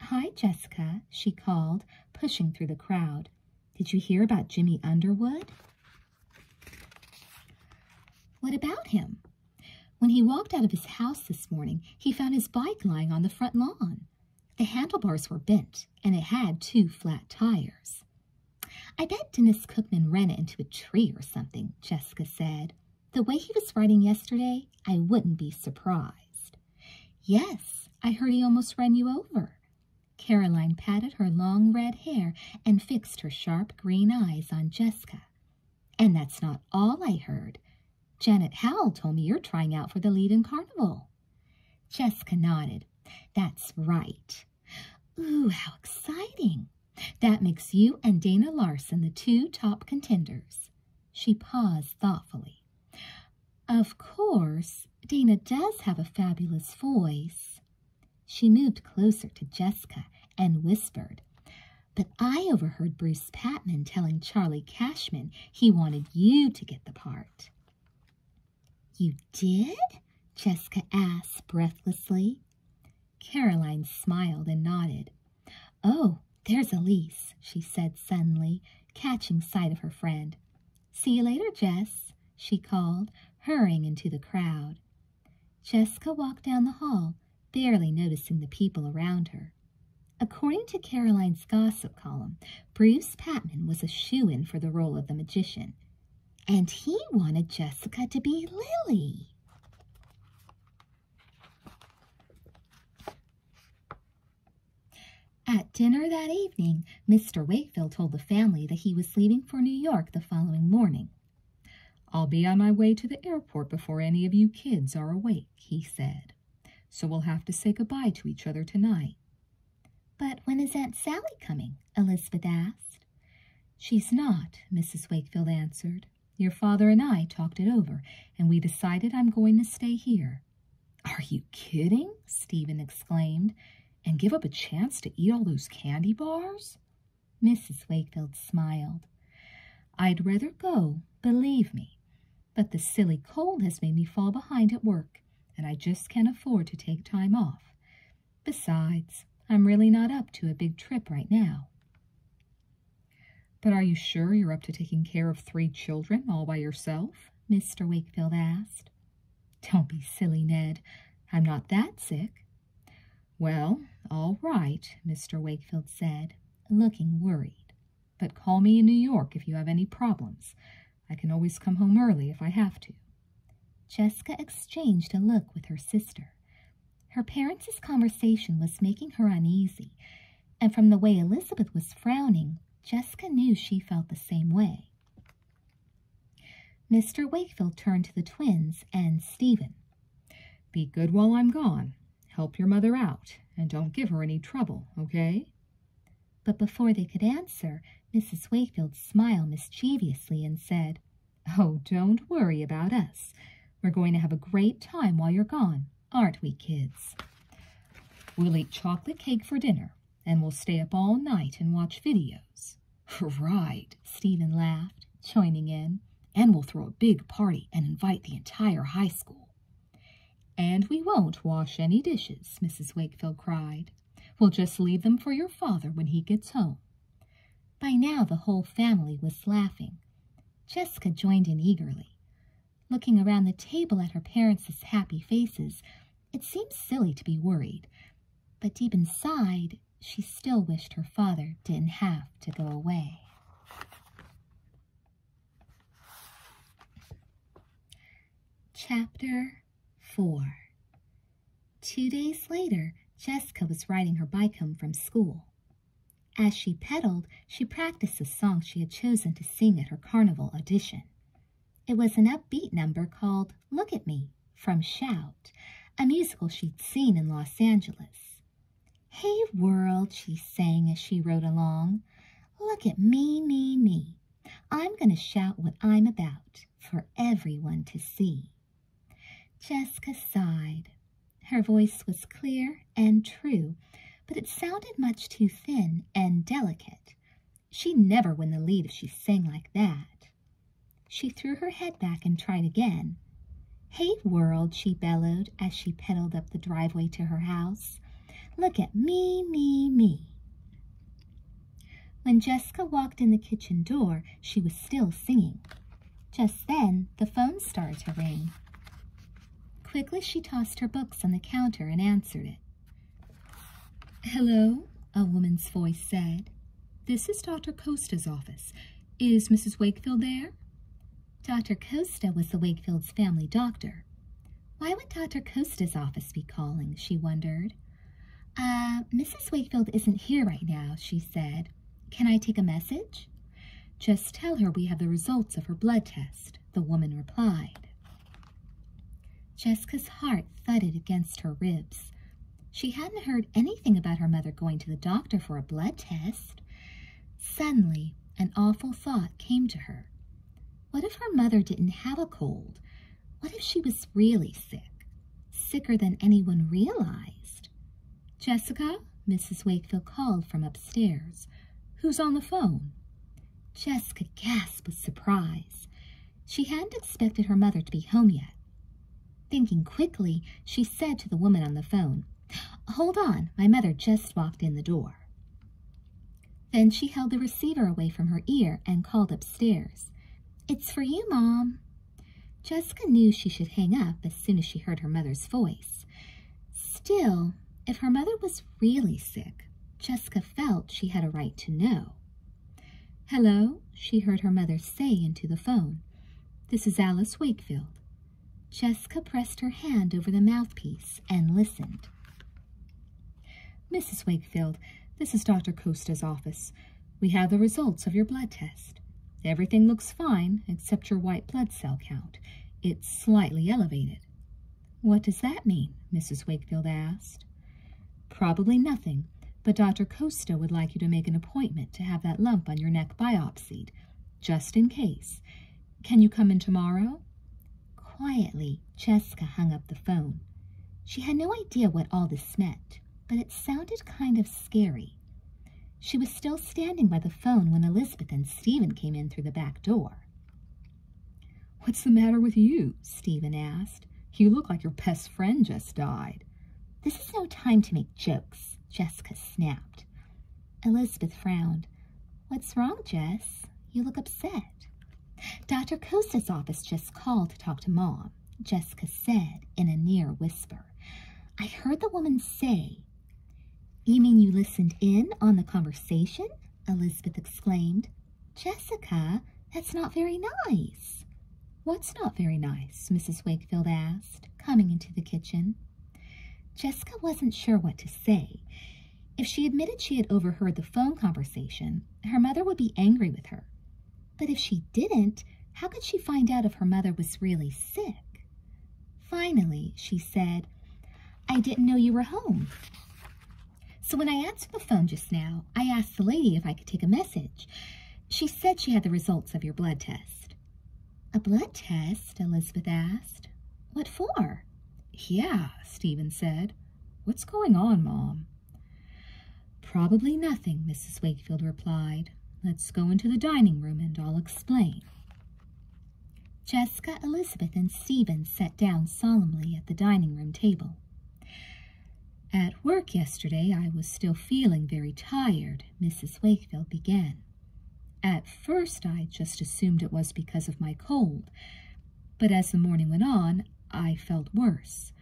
Hi, Jessica, she called, pushing through the crowd. Did you hear about Jimmy Underwood? What about him? When he walked out of his house this morning, he found his bike lying on the front lawn. The handlebars were bent, and it had two flat tires. I bet Dennis Cookman ran it into a tree or something, Jessica said. The way he was riding yesterday, I wouldn't be surprised. Yes, I heard he almost ran you over. Caroline patted her long red hair and fixed her sharp green eyes on Jessica. And that's not all I heard. Janet Howell told me you're trying out for the lead in Carnival. Jessica nodded. That's right. Ooh, how exciting. That makes you and Dana Larson the two top contenders. She paused thoughtfully. Of course, Dana does have a fabulous voice. She moved closer to Jessica and whispered, But I overheard Bruce Patman telling Charlie Cashman he wanted you to get the part. You did? Jessica asked breathlessly. Caroline smiled and nodded. Oh, there's Elise, she said suddenly, catching sight of her friend. See you later, Jess, she called, hurrying into the crowd. Jessica walked down the hall, barely noticing the people around her. According to Caroline's gossip column, Bruce Patman was a shoe-in for the role of the magician, and he wanted Jessica to be Lily. At dinner that evening, Mr. Wakefield told the family that he was leaving for New York the following morning. I'll be on my way to the airport before any of you kids are awake, he said. So we'll have to say goodbye to each other tonight. But when is Aunt Sally coming? Elizabeth asked. She's not, Mrs. Wakefield answered. Your father and I talked it over, and we decided I'm going to stay here. Are you kidding? Stephen exclaimed. And give up a chance to eat all those candy bars? Mrs. Wakefield smiled. I'd rather go, believe me. But the silly cold has made me fall behind at work, and I just can't afford to take time off. Besides, I'm really not up to a big trip right now. But are you sure you're up to taking care of three children all by yourself? Mr. Wakefield asked. Don't be silly, Ned. I'm not that sick. Well, all right, Mr. Wakefield said, looking worried. But call me in New York if you have any problems. I can always come home early if I have to. Jessica exchanged a look with her sister. Her parents' conversation was making her uneasy, and from the way Elizabeth was frowning, Jessica knew she felt the same way. Mr. Wakefield turned to the twins and Stephen. Be good while I'm gone. Help your mother out, and don't give her any trouble, okay? But before they could answer, Mrs. Wakefield smiled mischievously and said, Oh, don't worry about us. We're going to have a great time while you're gone, aren't we, kids? We'll eat chocolate cake for dinner, and we'll stay up all night and watch videos. Right, Stephen laughed, joining in. And we'll throw a big party and invite the entire high school. And we won't wash any dishes, Mrs. Wakefield cried. We'll just leave them for your father when he gets home. By now the whole family was laughing. Jessica joined in eagerly. Looking around the table at her parents' happy faces, it seemed silly to be worried, but deep inside, she still wished her father didn't have to go away. Chapter 4 Two days later, Jessica was riding her bike home from school. As she pedaled, she practiced the song she had chosen to sing at her carnival audition. It was an upbeat number called Look at Me from Shout, a musical she'd seen in Los Angeles. Hey world, she sang as she rode along. Look at me, me, me. I'm going to shout what I'm about for everyone to see. Jessica sighed. Her voice was clear and true, but it sounded much too thin and delicate, She'd never win the lead if she sang like that. She threw her head back and tried again. Hey, world, she bellowed as she pedaled up the driveway to her house. Look at me, me, me. When Jessica walked in the kitchen door, she was still singing. Just then, the phone started to ring. Quickly, she tossed her books on the counter and answered it. Hello, a woman's voice said. This is Dr. Costa's office. Is Mrs. Wakefield there? Dr. Costa was the Wakefields' family doctor. Why would Dr. Costa's office be calling, she wondered. Uh, Mrs. Wakefield isn't here right now, she said. Can I take a message? Just tell her we have the results of her blood test, the woman replied. Jessica's heart thudded against her ribs. She hadn't heard anything about her mother going to the doctor for a blood test. Suddenly, an awful thought came to her. What if her mother didn't have a cold? What if she was really sick? Sicker than anyone realized? Jessica, Mrs. Wakefield called from upstairs. Who's on the phone? Jessica gasped with surprise. She hadn't expected her mother to be home yet. Thinking quickly, she said to the woman on the phone, Hold on, my mother just walked in the door. Then she held the receiver away from her ear and called upstairs. It's for you, Mom. Jessica knew she should hang up as soon as she heard her mother's voice. Still, if her mother was really sick, Jessica felt she had a right to know. Hello, she heard her mother say into the phone. This is Alice Wakefield. Jessica pressed her hand over the mouthpiece and listened. Mrs. Wakefield, this is Dr. Costa's office. We have the results of your blood test. Everything looks fine except your white blood cell count. It's slightly elevated. What does that mean? Mrs. Wakefield asked. Probably nothing, but Dr. Costa would like you to make an appointment to have that lump on your neck biopsied, just in case. Can you come in tomorrow? Quietly, Jessica hung up the phone. She had no idea what all this meant, but it sounded kind of scary. She was still standing by the phone when Elizabeth and Stephen came in through the back door. What's the matter with you? Stephen asked. You look like your best friend just died. This is no time to make jokes, Jessica snapped. Elizabeth frowned. What's wrong, Jess? You look upset. Dr. Costa's office just called to talk to Mom, Jessica said in a near whisper. I heard the woman say, You mean you listened in on the conversation? Elizabeth exclaimed. Jessica, that's not very nice. What's not very nice? Mrs. Wakefield asked, coming into the kitchen. Jessica wasn't sure what to say. If she admitted she had overheard the phone conversation, her mother would be angry with her. But if she didn't, how could she find out if her mother was really sick? Finally, she said, I didn't know you were home. So when I answered the phone just now, I asked the lady if I could take a message. She said she had the results of your blood test. A blood test? Elizabeth asked. What for? Yeah, Stephen said. What's going on, Mom? Probably nothing, Mrs. Wakefield replied. Let's go into the dining room and I'll explain. Jessica, Elizabeth, and Stephen sat down solemnly at the dining room table. At work yesterday, I was still feeling very tired, Mrs. Wakefield began. At first, I just assumed it was because of my cold, but as the morning went on, I felt worse.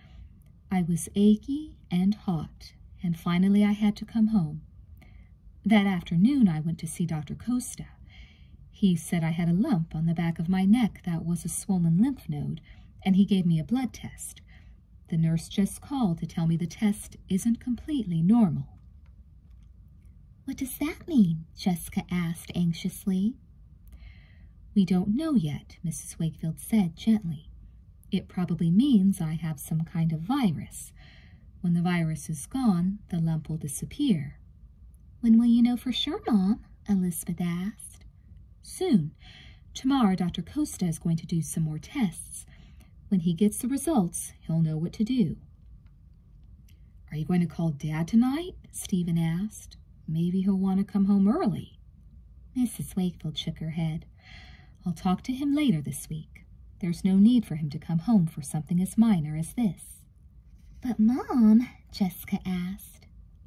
I was achy and hot, and finally I had to come home. That afternoon, I went to see Dr. Costa. He said I had a lump on the back of my neck that was a swollen lymph node, and he gave me a blood test. The nurse just called to tell me the test isn't completely normal. What does that mean? Jessica asked anxiously. We don't know yet, Mrs. Wakefield said gently. It probably means I have some kind of virus. When the virus is gone, the lump will disappear. When will you know for sure, Mom? Elizabeth asked soon. Tomorrow, Dr. Costa is going to do some more tests. When he gets the results, he'll know what to do. Are you going to call Dad tonight? Stephen asked. Maybe he'll want to come home early. Mrs. Wakefield shook her head. I'll talk to him later this week. There's no need for him to come home for something as minor as this. But, Mom, Jessica asked,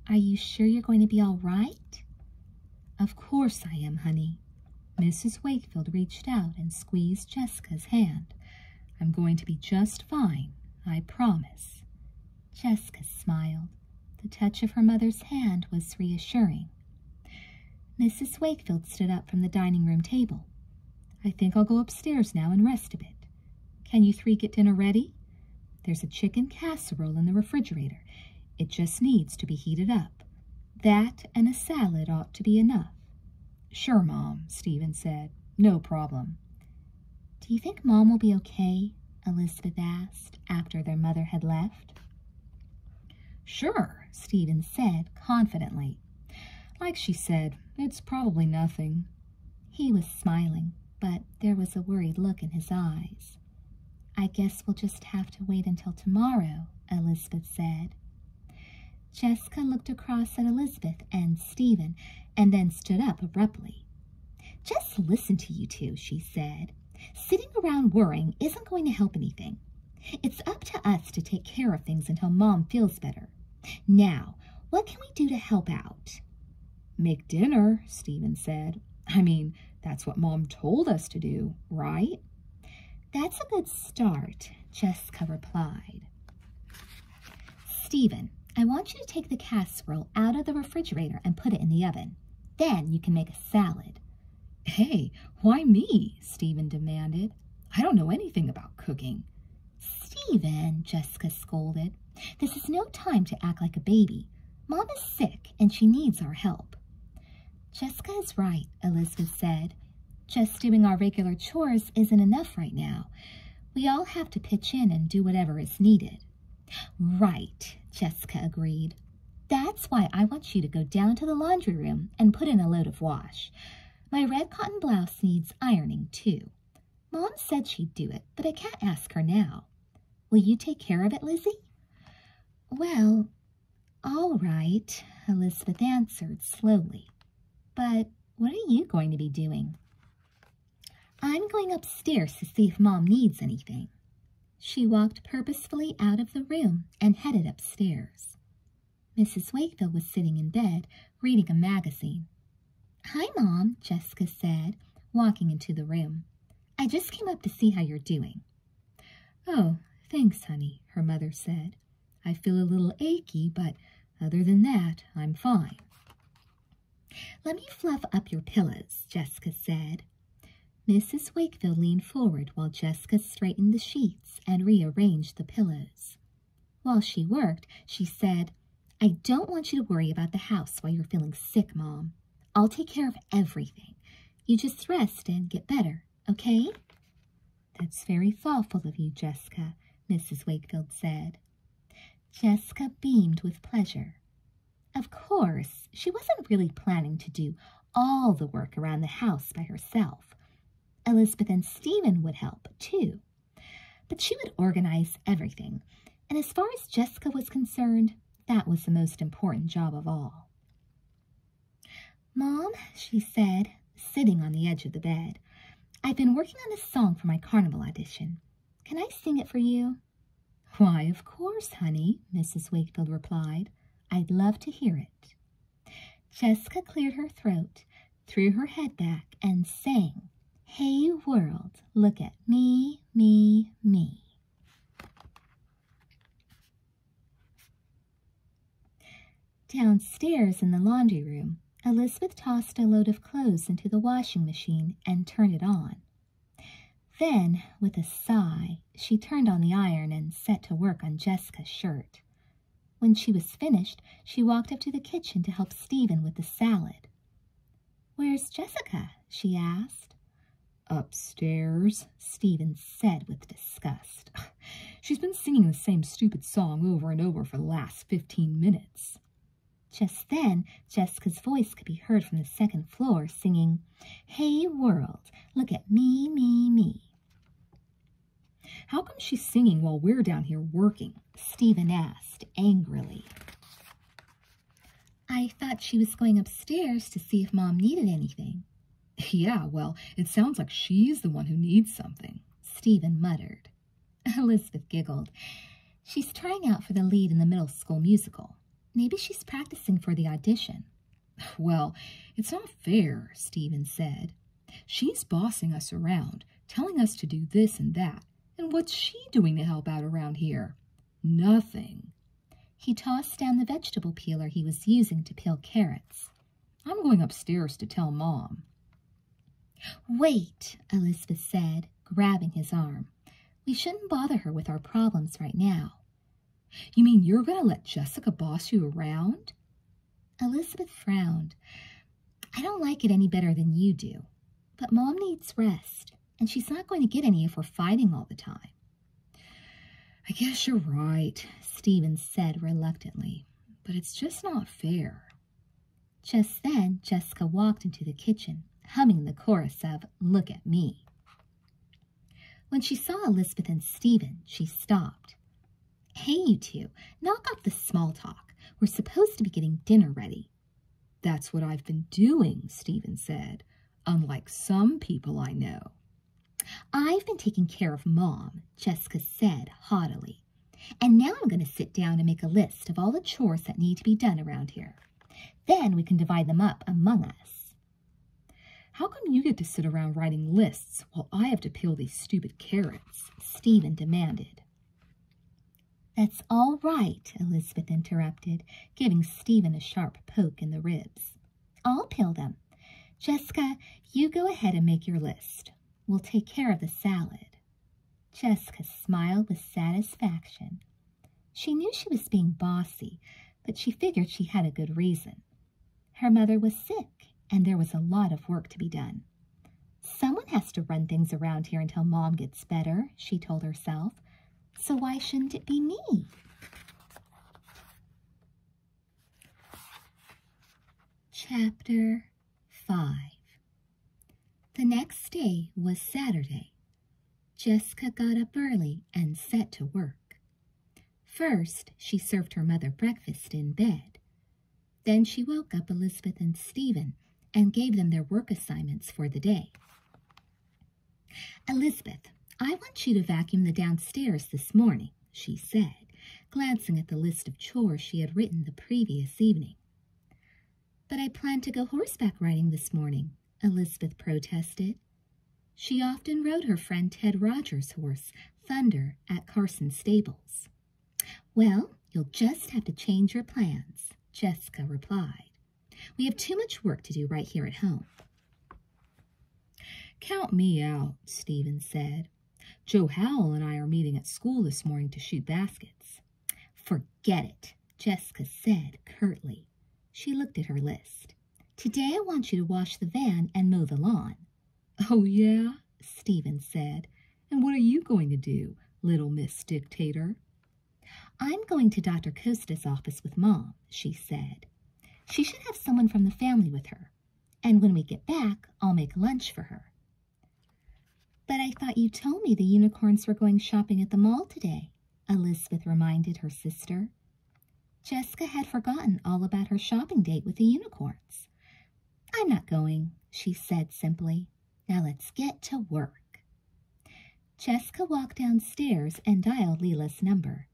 are you sure you're going to be all right? Of course I am, honey. Mrs. Wakefield reached out and squeezed Jessica's hand. I'm going to be just fine, I promise. Jessica smiled. The touch of her mother's hand was reassuring. Mrs. Wakefield stood up from the dining room table. I think I'll go upstairs now and rest a bit. Can you three get dinner ready? There's a chicken casserole in the refrigerator. It just needs to be heated up. That and a salad ought to be enough. Sure, Mom, Stephen said. No problem. Do you think Mom will be okay? Elizabeth asked after their mother had left. Sure, Stephen said confidently. Like she said, it's probably nothing. He was smiling, but there was a worried look in his eyes. I guess we'll just have to wait until tomorrow, Elizabeth said. Jessica looked across at Elizabeth and Stephen and then stood up abruptly. Just listen to you two," she said. Sitting around worrying isn't going to help anything. It's up to us to take care of things until Mom feels better. Now, what can we do to help out? Make dinner, Stephen said. I mean, that's what Mom told us to do, right? That's a good start, Jessica replied. Stephen, I want you to take the casserole out of the refrigerator and put it in the oven. Then you can make a salad. Hey, why me? Stephen demanded. I don't know anything about cooking. Stephen, Jessica scolded, this is no time to act like a baby. Mom is sick and she needs our help. Jessica is right, Elizabeth said. Just doing our regular chores isn't enough right now. We all have to pitch in and do whatever is needed. Right, Jessica agreed. That's why I want you to go down to the laundry room and put in a load of wash. My red cotton blouse needs ironing, too. Mom said she'd do it, but I can't ask her now. Will you take care of it, Lizzie? Well, all right, Elizabeth answered slowly. But what are you going to be doing? I'm going upstairs to see if Mom needs anything. She walked purposefully out of the room and headed upstairs. Mrs. Wakefield was sitting in bed, reading a magazine. Hi, Mom, Jessica said, walking into the room. I just came up to see how you're doing. Oh, thanks, honey, her mother said. I feel a little achy, but other than that, I'm fine. Let me fluff up your pillows, Jessica said. Mrs. Wakefield leaned forward while Jessica straightened the sheets and rearranged the pillows. While she worked, she said, I don't want you to worry about the house while you're feeling sick, Mom. I'll take care of everything. You just rest and get better, okay? That's very thoughtful of you, Jessica, Mrs. Wakefield said. Jessica beamed with pleasure. Of course, she wasn't really planning to do all the work around the house by herself. Elizabeth and Stephen would help, too. But she would organize everything and as far as Jessica was concerned, that was the most important job of all. Mom, she said, sitting on the edge of the bed, I've been working on a song for my carnival audition. Can I sing it for you? Why, of course, honey, Mrs. Wakefield replied. I'd love to hear it. Jessica cleared her throat, threw her head back, and sang, Hey, world, look at me, me, me. Downstairs in the laundry room, Elizabeth tossed a load of clothes into the washing machine and turned it on. Then, with a sigh, she turned on the iron and set to work on Jessica's shirt. When she was finished, she walked up to the kitchen to help Stephen with the salad. Where's Jessica? she asked. Upstairs, Stephen said with disgust. She's been singing the same stupid song over and over for the last fifteen minutes. Just then, Jessica's voice could be heard from the second floor singing, Hey world, look at me, me, me. How come she's singing while we're down here working? Stephen asked angrily. I thought she was going upstairs to see if Mom needed anything. Yeah, well, it sounds like she's the one who needs something, Stephen muttered. Elizabeth giggled. She's trying out for the lead in the middle school musical. Maybe she's practicing for the audition. Well, it's not fair, Stephen said. She's bossing us around, telling us to do this and that. And what's she doing to help out around here? Nothing. He tossed down the vegetable peeler he was using to peel carrots. I'm going upstairs to tell Mom. Wait, Elizabeth said, grabbing his arm. We shouldn't bother her with our problems right now. You mean you're going to let Jessica boss you around? Elizabeth frowned. I don't like it any better than you do, but Mom needs rest, and she's not going to get any if we're fighting all the time. I guess you're right, Stephen said reluctantly, but it's just not fair. Just then, Jessica walked into the kitchen, humming the chorus of Look at Me. When she saw Elizabeth and Stephen, she stopped. Hey, you two, knock off the small talk. We're supposed to be getting dinner ready. That's what I've been doing, Stephen said unlike some people I know. I've been taking care of Mom, Jessica said haughtily. And now I'm going to sit down and make a list of all the chores that need to be done around here. Then we can divide them up among us. How come you get to sit around writing lists while I have to peel these stupid carrots? Stephen demanded. That's all right, Elizabeth interrupted, giving Stephen a sharp poke in the ribs. I'll peel them. Jessica, you go ahead and make your list. We'll take care of the salad. Jessica smiled with satisfaction. She knew she was being bossy, but she figured she had a good reason. Her mother was sick, and there was a lot of work to be done. Someone has to run things around here until Mom gets better, she told herself, so why shouldn't it be me? Chapter 5 The next day was Saturday. Jessica got up early and set to work. First, she served her mother breakfast in bed. Then she woke up Elizabeth and Stephen and gave them their work assignments for the day. Elizabeth, I want you to vacuum the downstairs this morning, she said, glancing at the list of chores she had written the previous evening. But I plan to go horseback riding this morning, Elizabeth protested. She often rode her friend Ted Rogers' horse, Thunder, at Carson Stables. Well, you'll just have to change your plans, Jessica replied. We have too much work to do right here at home. Count me out, Stephen said. Joe Howell and I are meeting at school this morning to shoot baskets. Forget it, Jessica said curtly. She looked at her list. Today I want you to wash the van and mow the lawn. Oh, yeah, Stephen said. And what are you going to do, little Miss Dictator? I'm going to Dr. Costa's office with Mom, she said. She should have someone from the family with her, and when we get back, I'll make lunch for her. But I thought you told me the unicorns were going shopping at the mall today, Elizabeth reminded her sister. Jessica had forgotten all about her shopping date with the unicorns. I'm not going, she said simply. Now let's get to work. Jessica walked downstairs and dialed Leela's number.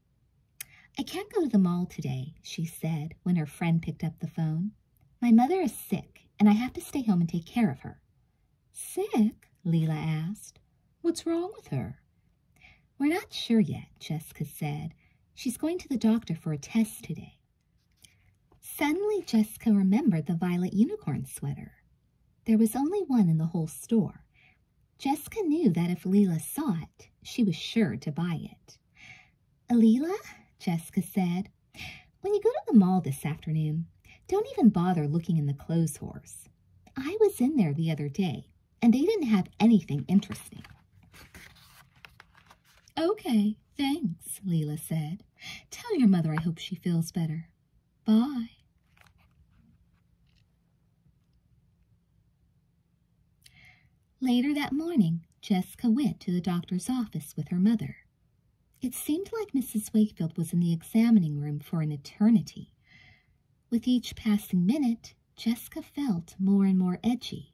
I can't go to the mall today, she said when her friend picked up the phone. My mother is sick, and I have to stay home and take care of her. Sick? Leela asked. What's wrong with her? We're not sure yet, Jessica said. She's going to the doctor for a test today. Suddenly, Jessica remembered the violet unicorn sweater. There was only one in the whole store, Jessica knew that if Leela saw it, she was sure to buy it. Leela, Jessica said, when you go to the mall this afternoon, don't even bother looking in the clothes horse. I was in there the other day, and they didn't have anything interesting. Okay, thanks, Leela said. Tell your mother I hope she feels better. Bye. Later that morning, Jessica went to the doctor's office with her mother. It seemed like Mrs. Wakefield was in the examining room for an eternity. With each passing minute, Jessica felt more and more edgy.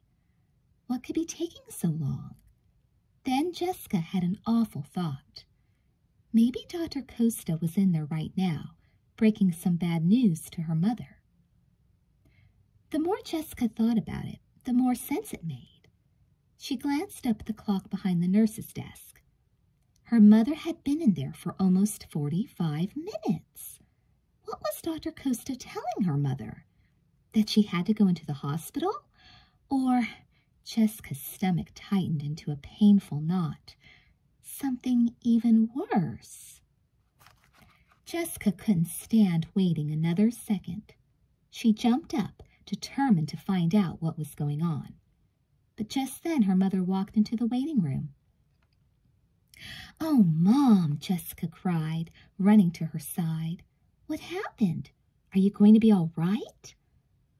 What could be taking so long? Then Jessica had an awful thought. Maybe Dr. Costa was in there right now, breaking some bad news to her mother. The more Jessica thought about it, the more sense it made. She glanced up at the clock behind the nurse's desk. Her mother had been in there for almost 45 minutes. What was Dr. Costa telling her mother? That she had to go into the hospital? Or Jessica's stomach tightened into a painful knot. Something even worse. Jessica couldn't stand waiting another second. She jumped up, determined to find out what was going on. But just then her mother walked into the waiting room. Oh, Mom, Jessica cried, running to her side. What happened? Are you going to be all right?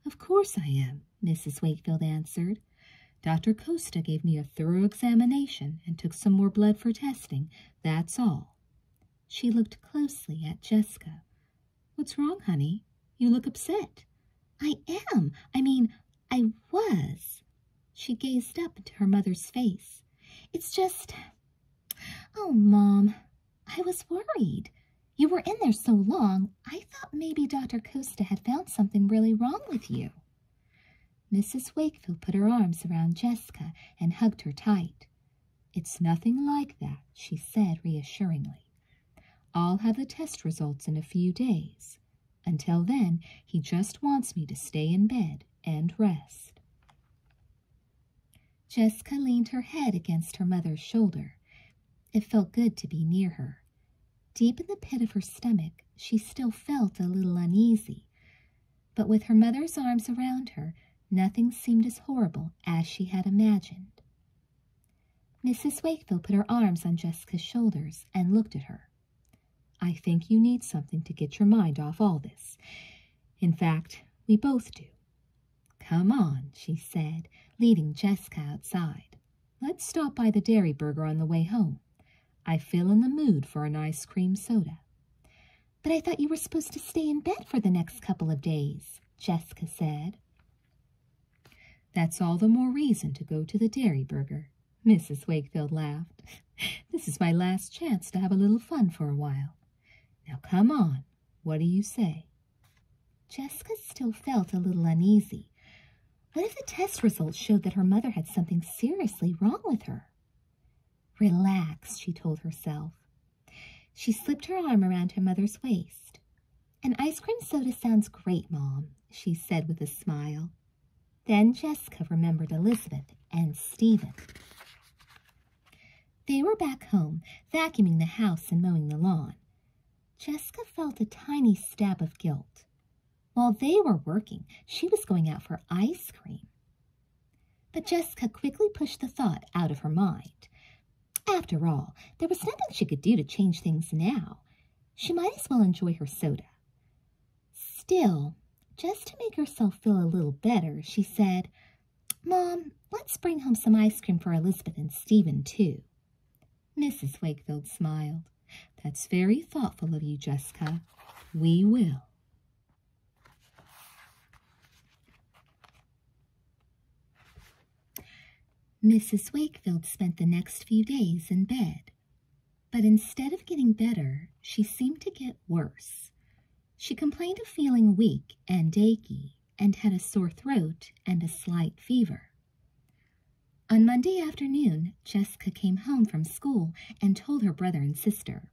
Of course I am, Mrs. Wakefield answered, Dr. Costa gave me a thorough examination and took some more blood for testing. That's all. She looked closely at Jessica. What's wrong, honey? You look upset. I am. I mean, I was. She gazed up into her mother's face. It's just. Oh, Mom, I was worried. You were in there so long, I thought maybe Dr. Costa had found something really wrong with you. Mrs. Wakefield put her arms around Jessica and hugged her tight. It's nothing like that, she said reassuringly. I'll have the test results in a few days. Until then, he just wants me to stay in bed and rest. Jessica leaned her head against her mother's shoulder. It felt good to be near her. Deep in the pit of her stomach, she still felt a little uneasy, but with her mother's arms around her, nothing seemed as horrible as she had imagined. Mrs. Wakefield put her arms on Jessica's shoulders and looked at her. I think you need something to get your mind off all this. In fact, we both do. Come on, she said, leading Jessica outside. Let's stop by the Dairy Burger on the way home. I feel in the mood for an ice cream soda. But I thought you were supposed to stay in bed for the next couple of days, Jessica said. That's all the more reason to go to the Dairy Burger, Mrs. Wakefield laughed. this is my last chance to have a little fun for a while. Now come on, what do you say? Jessica still felt a little uneasy. What if the test results showed that her mother had something seriously wrong with her? Relax, she told herself. She slipped her arm around her mother's waist. An ice cream soda sounds great, Mom, she said with a smile. Then Jessica remembered Elizabeth and Stephen. They were back home, vacuuming the house and mowing the lawn. Jessica felt a tiny stab of guilt. While they were working, she was going out for ice cream. But Jessica quickly pushed the thought out of her mind. After all, there was nothing she could do to change things now. She might as well enjoy her soda. Still, just to make herself feel a little better, she said, Mom, let's bring home some ice cream for Elizabeth and Stephen, too. Mrs. Wakefield smiled. That's very thoughtful of you, Jessica. We will. Mrs. Wakefield spent the next few days in bed, but instead of getting better, she seemed to get worse. She complained of feeling weak and achy and had a sore throat and a slight fever. On Monday afternoon, Jessica came home from school and told her brother and sister.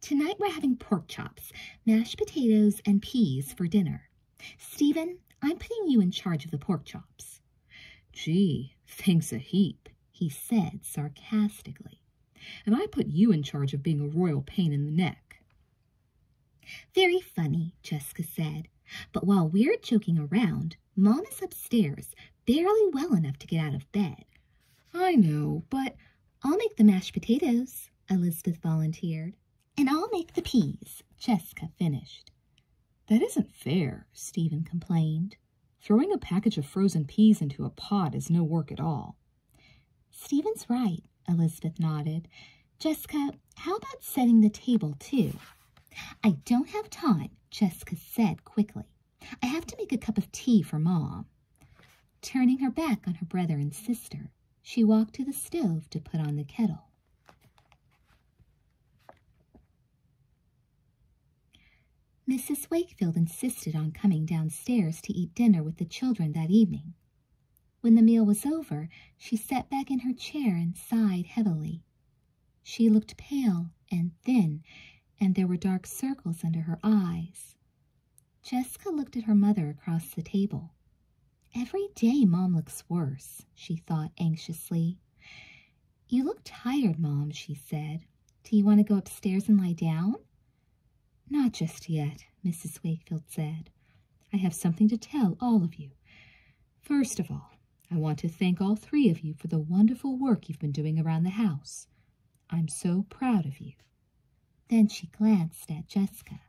Tonight we're having pork chops, mashed potatoes, and peas for dinner. Stephen, I'm putting you in charge of the pork chops. Gee, thanks a heap, he said sarcastically. And I put you in charge of being a royal pain in the neck. Very funny, Jessica said. But while we're joking around, Mom is upstairs, barely well enough to get out of bed. I know, but I'll make the mashed potatoes, Elizabeth volunteered. And I'll make the peas, Jessica finished. That isn't fair, Stephen complained. Throwing a package of frozen peas into a pot is no work at all. Stephen's right, Elizabeth nodded. Jessica, how about setting the table, too? I don't have time, Jessica said quickly. I have to make a cup of tea for Mom. Turning her back on her brother and sister, she walked to the stove to put on the kettle. Mrs. Wakefield insisted on coming downstairs to eat dinner with the children that evening. When the meal was over, she sat back in her chair and sighed heavily. She looked pale and thin, and there were dark circles under her eyes. Jessica looked at her mother across the table. Every day Mom looks worse, she thought anxiously. You look tired, Mom, she said. Do you want to go upstairs and lie down? Not just yet, Mrs. Wakefield said. I have something to tell all of you. First of all, I want to thank all three of you for the wonderful work you've been doing around the house. I'm so proud of you. Then she glanced at Jessica.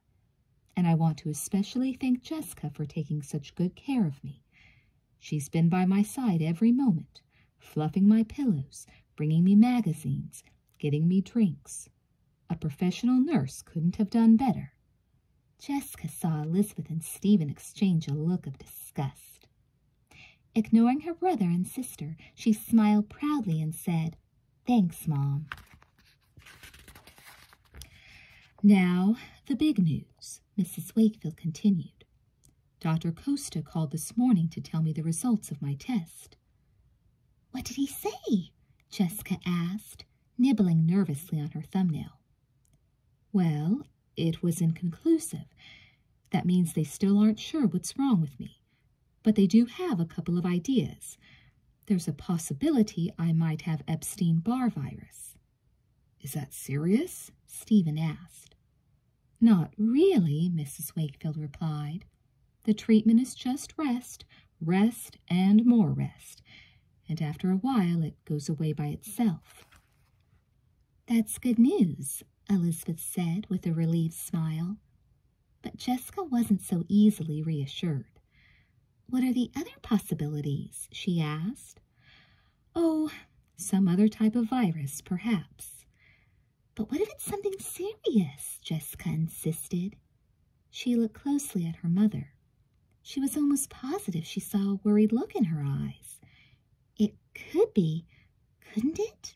And I want to especially thank Jessica for taking such good care of me. She's been by my side every moment, fluffing my pillows, bringing me magazines, getting me drinks. A professional nurse couldn't have done better. Jessica saw Elizabeth and Stephen exchange a look of disgust. Ignoring her brother and sister, she smiled proudly and said, Thanks, Mom. Now, the big news, Mrs. Wakefield continued. Dr. Costa called this morning to tell me the results of my test. What did he say? Jessica asked, nibbling nervously on her thumbnail. Well, it was inconclusive. That means they still aren't sure what's wrong with me. But they do have a couple of ideas. There's a possibility I might have Epstein-Barr virus. Is that serious? Stephen asked. Not really, Mrs. Wakefield replied. The treatment is just rest, rest, and more rest. And after a while, it goes away by itself. That's good news, Elizabeth said with a relieved smile. But Jessica wasn't so easily reassured. What are the other possibilities? she asked. Oh, some other type of virus, perhaps. But what if it's something serious? Jessica insisted. She looked closely at her mother. She was almost positive she saw a worried look in her eyes. It could be, couldn't it?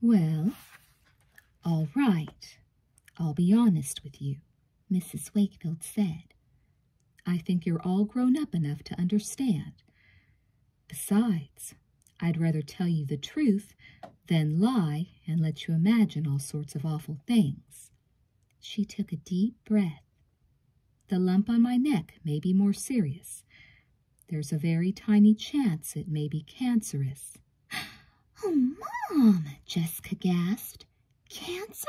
Well, all right. I'll be honest with you, Mrs. Wakefield said. I think you're all grown up enough to understand. Besides, I'd rather tell you the truth than lie and let you imagine all sorts of awful things. She took a deep breath. The lump on my neck may be more serious. There's a very tiny chance it may be cancerous. Oh, Mom, Jessica gasped. Cancer?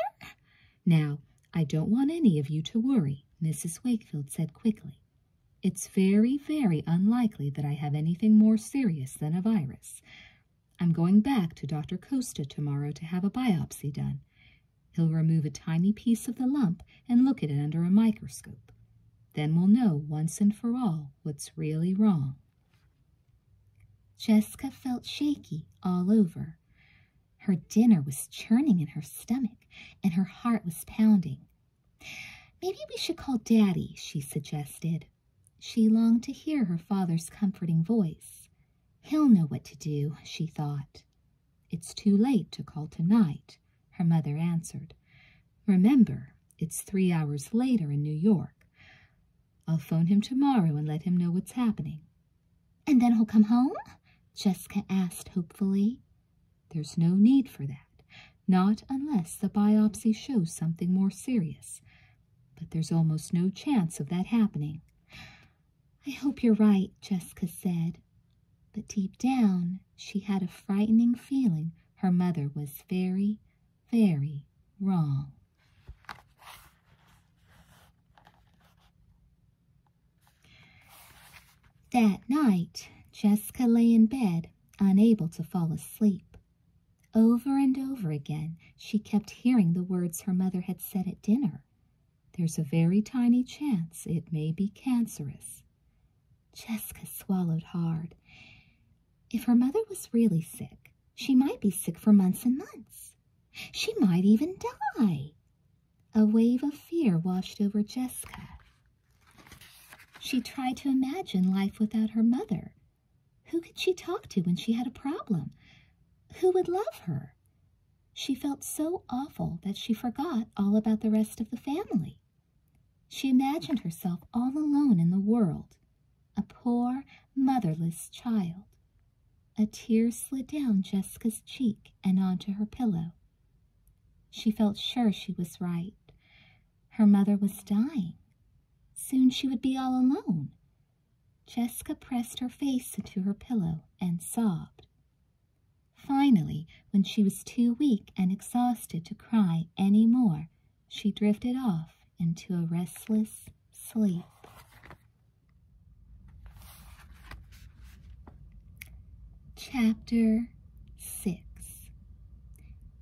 Now, I don't want any of you to worry, Mrs. Wakefield said quickly. It's very, very unlikely that I have anything more serious than a virus. I'm going back to Dr. Costa tomorrow to have a biopsy done. He'll remove a tiny piece of the lump and look at it under a microscope. Then we'll know once and for all what's really wrong. Jessica felt shaky all over. Her dinner was churning in her stomach, and her heart was pounding. Maybe we should call Daddy, she suggested. She longed to hear her father's comforting voice. He'll know what to do, she thought. It's too late to call tonight, her mother answered. Remember, it's three hours later in New York. I'll phone him tomorrow and let him know what's happening. And then he'll come home? Jessica asked hopefully. There's no need for that, not unless the biopsy shows something more serious. But there's almost no chance of that happening. I hope you're right, Jessica said. But deep down, she had a frightening feeling her mother was very, very wrong. That night, Jessica lay in bed, unable to fall asleep. Over and over again, she kept hearing the words her mother had said at dinner. There's a very tiny chance it may be cancerous. Jessica swallowed hard. If her mother was really sick, she might be sick for months and months. She might even die. A wave of fear washed over Jessica. She tried to imagine life without her mother. Who could she talk to when she had a problem? Who would love her? She felt so awful that she forgot all about the rest of the family. She imagined herself all alone in the world, a poor, motherless child. A tear slid down Jessica's cheek and onto her pillow. She felt sure she was right. Her mother was dying. Soon she would be all alone. Jessica pressed her face into her pillow and sobbed. Finally, when she was too weak and exhausted to cry any more, she drifted off into a restless sleep. Chapter 6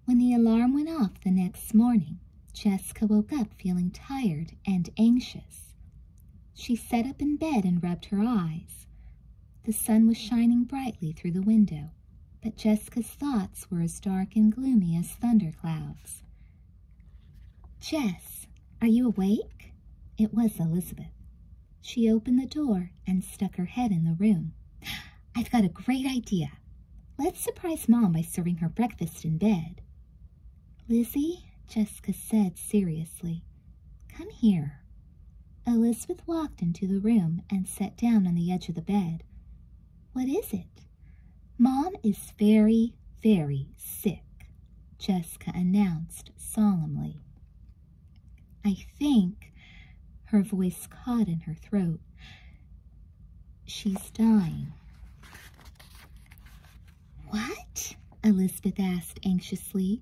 When the alarm went off the next morning, Jessica woke up feeling tired and anxious. She sat up in bed and rubbed her eyes. The sun was shining brightly through the window, but Jessica's thoughts were as dark and gloomy as thunder clouds. Jess, are you awake? It was Elizabeth. She opened the door and stuck her head in the room. I've got a great idea. Let's surprise Mom by serving her breakfast in bed. Lizzie, Jessica said seriously, Come here. Elizabeth walked into the room and sat down on the edge of the bed. What is it? Mom is very, very sick, Jessica announced solemnly. I think, her voice caught in her throat, she's dying. What? Elizabeth asked anxiously.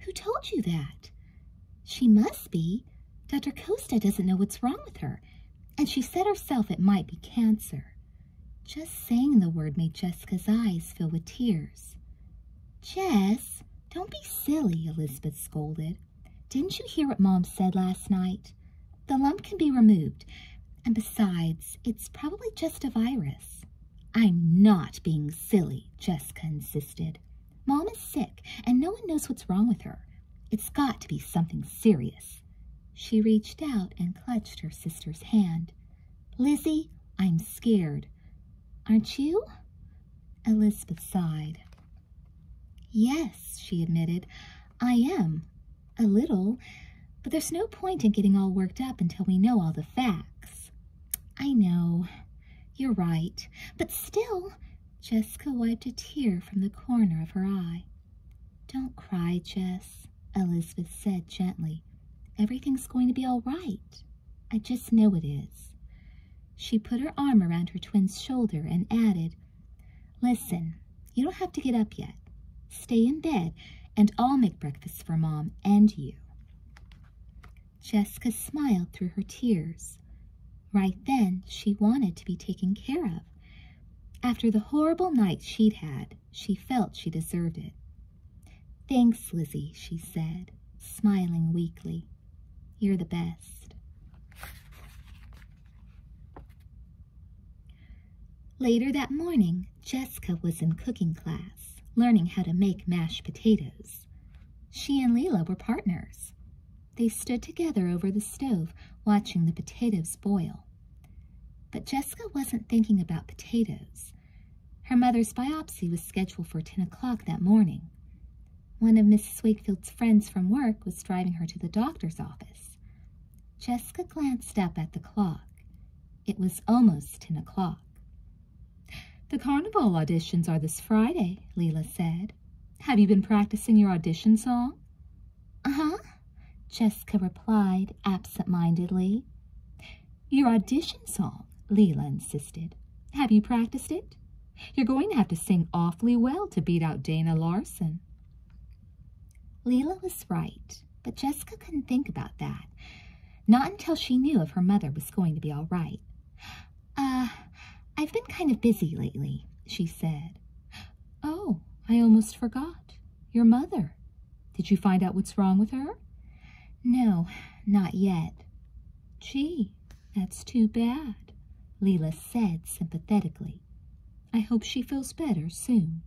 Who told you that? She must be. Dr. Costa doesn't know what's wrong with her, and she said herself it might be cancer. Just saying the word made Jessica's eyes fill with tears. Jess, don't be silly, Elizabeth scolded. Didn't you hear what Mom said last night? The lump can be removed, and besides, it's probably just a virus. I'm not being silly, Jessica insisted. Mom is sick, and no one knows what's wrong with her. It's got to be something serious. She reached out and clutched her sister's hand. Lizzie, I'm scared. Aren't you? Elizabeth sighed. Yes, she admitted, I am. A little. But there's no point in getting all worked up until we know all the facts. I know, you're right, but still, Jessica wiped a tear from the corner of her eye. Don't cry, Jess, Elizabeth said gently. Everything's going to be all right. I just know it is. She put her arm around her twin's shoulder and added, Listen, you don't have to get up yet. Stay in bed, and I'll make breakfast for Mom and you. Jessica smiled through her tears. Right then, she wanted to be taken care of. After the horrible night she'd had, she felt she deserved it. Thanks, Lizzie, she said, smiling weakly. You're the best. Later that morning, Jessica was in cooking class, learning how to make mashed potatoes. She and Leela were partners. They stood together over the stove, watching the potatoes boil. But Jessica wasn't thinking about potatoes. Her mother's biopsy was scheduled for 10 o'clock that morning. One of Mrs. Wakefield's friends from work was driving her to the doctor's office. Jessica glanced up at the clock. It was almost 10 o'clock. The carnival auditions are this Friday, Leela said. Have you been practicing your audition song? Uh-huh, Jessica replied absent-mindedly. Your audition song, Leela insisted. Have you practiced it? You're going to have to sing awfully well to beat out Dana Larson. Leela was right, but Jessica couldn't think about that. Not until she knew if her mother was going to be all right. Uh, I've been kind of busy lately, she said. Oh, I almost forgot. Your mother. Did you find out what's wrong with her? No, not yet. Gee, that's too bad, Leela said sympathetically. I hope she feels better soon.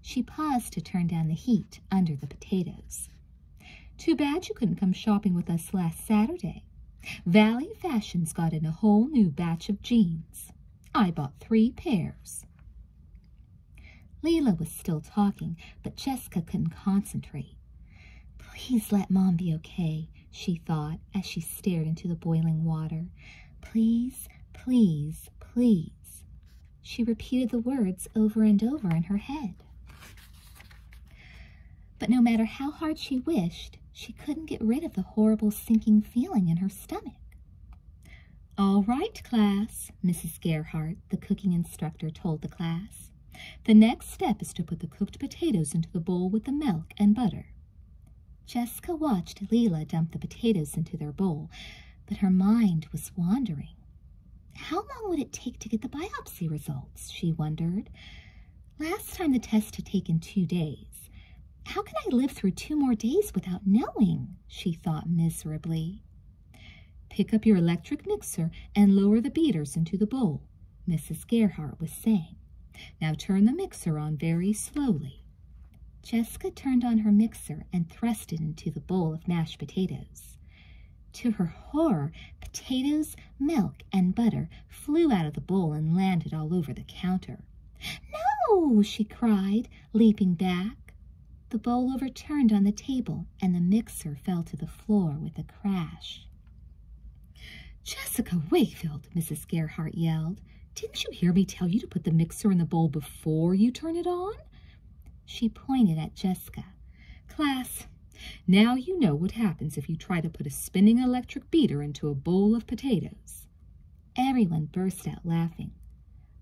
She paused to turn down the heat under the potatoes. Too bad you couldn't come shopping with us last Saturday. Valley Fashion's got in a whole new batch of jeans. I bought three pairs. Leela was still talking, but Jessica couldn't concentrate. Please let Mom be okay, she thought as she stared into the boiling water. Please, please, please. She repeated the words over and over in her head. But no matter how hard she wished, she couldn't get rid of the horrible sinking feeling in her stomach. All right, class, Mrs. Gerhardt, the cooking instructor, told the class. The next step is to put the cooked potatoes into the bowl with the milk and butter. Jessica watched Leela dump the potatoes into their bowl, but her mind was wandering. How long would it take to get the biopsy results? She wondered. Last time the test had taken two days. How can I live through two more days without knowing? She thought miserably. Pick up your electric mixer and lower the beaters into the bowl, Mrs. Gerhardt was saying. Now turn the mixer on very slowly. Jessica turned on her mixer and thrust it into the bowl of mashed potatoes. To her horror, potatoes, milk, and butter flew out of the bowl and landed all over the counter. No, she cried, leaping back. The bowl overturned on the table, and the mixer fell to the floor with a crash. Jessica Wakefield, Mrs. Gerhardt yelled. Didn't you hear me tell you to put the mixer in the bowl before you turn it on? She pointed at Jessica. Class, now you know what happens if you try to put a spinning electric beater into a bowl of potatoes. Everyone burst out laughing.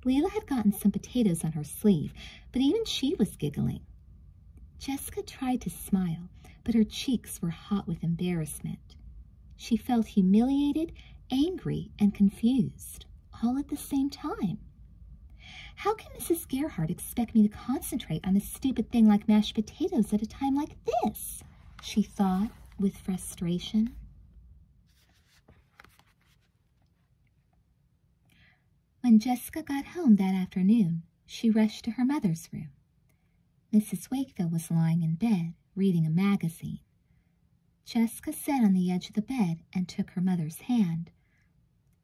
Leela had gotten some potatoes on her sleeve, but even she was giggling. Jessica tried to smile, but her cheeks were hot with embarrassment. She felt humiliated, angry, and confused, all at the same time. How can Mrs. Gerhardt expect me to concentrate on a stupid thing like mashed potatoes at a time like this? She thought with frustration. When Jessica got home that afternoon, she rushed to her mother's room. Mrs. Wakefield was lying in bed, reading a magazine. Jessica sat on the edge of the bed and took her mother's hand.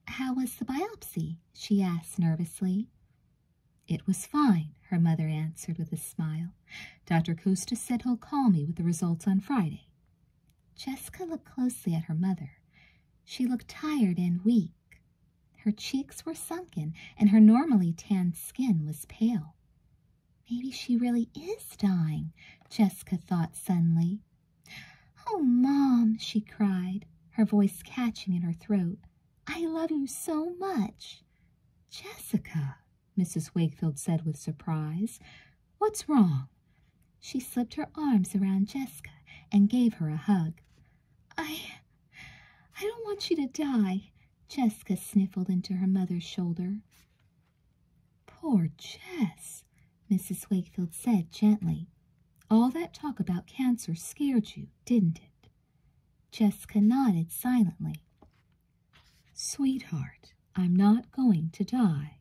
How was the biopsy? she asked nervously. It was fine, her mother answered with a smile. Dr. Costa said he'll call me with the results on Friday. Jessica looked closely at her mother. She looked tired and weak. Her cheeks were sunken, and her normally tanned skin was pale. Maybe she really is dying, Jessica thought suddenly. Oh, Mom, she cried, her voice catching in her throat. I love you so much. Jessica, Mrs. Wakefield said with surprise, what's wrong? She slipped her arms around Jessica and gave her a hug. I, I don't want you to die, Jessica sniffled into her mother's shoulder. Poor Jess, Mrs. Wakefield said gently. All that talk about cancer scared you, didn't it? Jessica nodded silently. Sweetheart, I'm not going to die.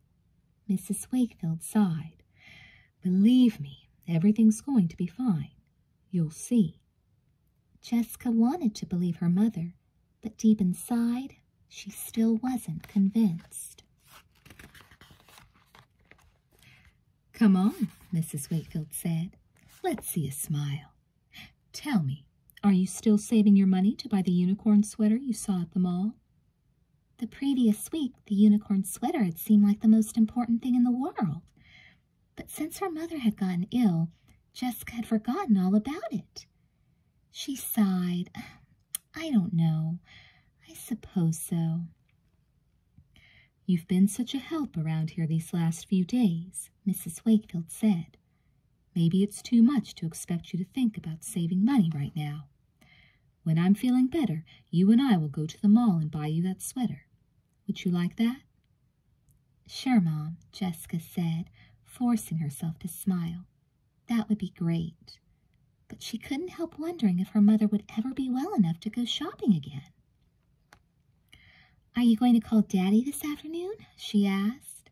Mrs. Wakefield sighed. Believe me, everything's going to be fine. You'll see. Jessica wanted to believe her mother, but deep inside, she still wasn't convinced. Come on, Mrs. Wakefield said. Let's see a smile. Tell me, are you still saving your money to buy the unicorn sweater you saw at the mall? The previous week, the unicorn sweater had seemed like the most important thing in the world. But since her mother had gotten ill, Jessica had forgotten all about it. She sighed. I don't know. I suppose so. You've been such a help around here these last few days, Mrs. Wakefield said. Maybe it's too much to expect you to think about saving money right now. When I'm feeling better, you and I will go to the mall and buy you that sweater. Would you like that? Sure, Mom, Jessica said, forcing herself to smile. That would be great. But she couldn't help wondering if her mother would ever be well enough to go shopping again. Are you going to call Daddy this afternoon? she asked.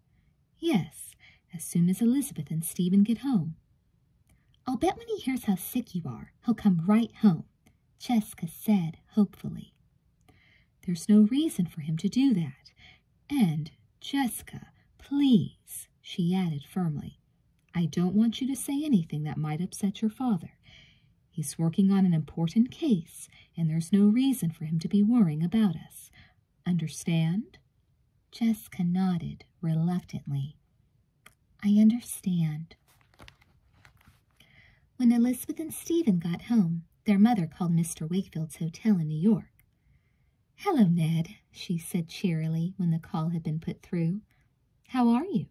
Yes, as soon as Elizabeth and Stephen get home. I'll bet when he hears how sick you are, he'll come right home, Jessica said hopefully. There's no reason for him to do that. And, Jessica, please, she added firmly, I don't want you to say anything that might upset your father. He's working on an important case, and there's no reason for him to be worrying about us. Understand? Jessica nodded reluctantly. I understand. When Elizabeth and Stephen got home, their mother called Mr. Wakefield's hotel in New York. Hello, Ned, she said cheerily when the call had been put through. How are you?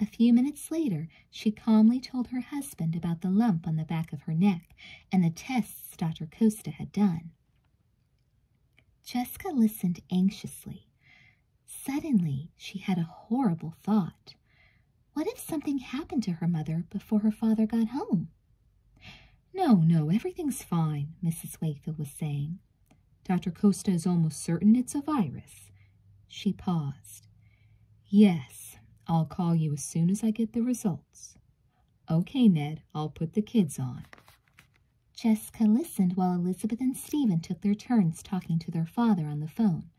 A few minutes later, she calmly told her husband about the lump on the back of her neck and the tests Dr. Costa had done. Jessica listened anxiously. Suddenly, she had a horrible thought. What if something happened to her mother before her father got home? No, no, everything's fine, Mrs. Wakefield was saying. Dr. Costa is almost certain it's a virus. She paused. Yes, I'll call you as soon as I get the results. Okay, Ned, I'll put the kids on. Jessica listened while Elizabeth and Stephen took their turns talking to their father on the phone.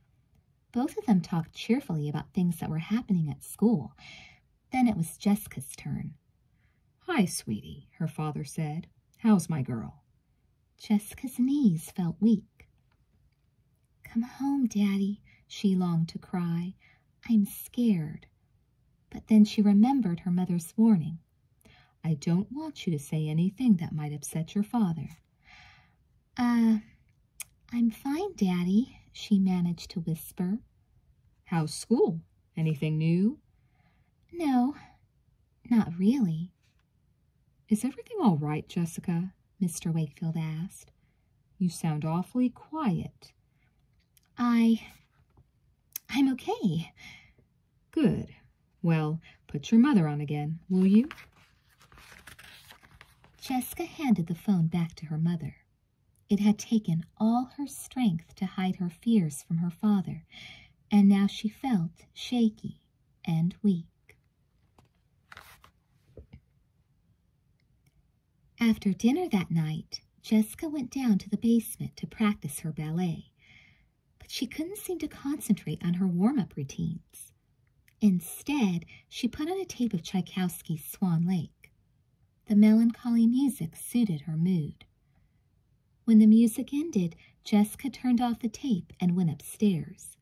Both of them talked cheerfully about things that were happening at school. Then it was Jessica's turn. Hi, sweetie, her father said. How's my girl? Jessica's knees felt weak. Come home, Daddy, she longed to cry. I'm scared. But then she remembered her mother's warning. I don't want you to say anything that might upset your father. Uh, I'm fine, Daddy, she managed to whisper. How's school? Anything new? No, not really, is everything all right, Jessica? Mr. Wakefield asked. You sound awfully quiet. I. I'm okay. Good. Well, put your mother on again, will you? Jessica handed the phone back to her mother. It had taken all her strength to hide her fears from her father, and now she felt shaky and weak. After dinner that night, Jessica went down to the basement to practice her ballet, but she couldn't seem to concentrate on her warm-up routines. Instead, she put on a tape of Tchaikovsky's Swan Lake. The melancholy music suited her mood. When the music ended, Jessica turned off the tape and went upstairs.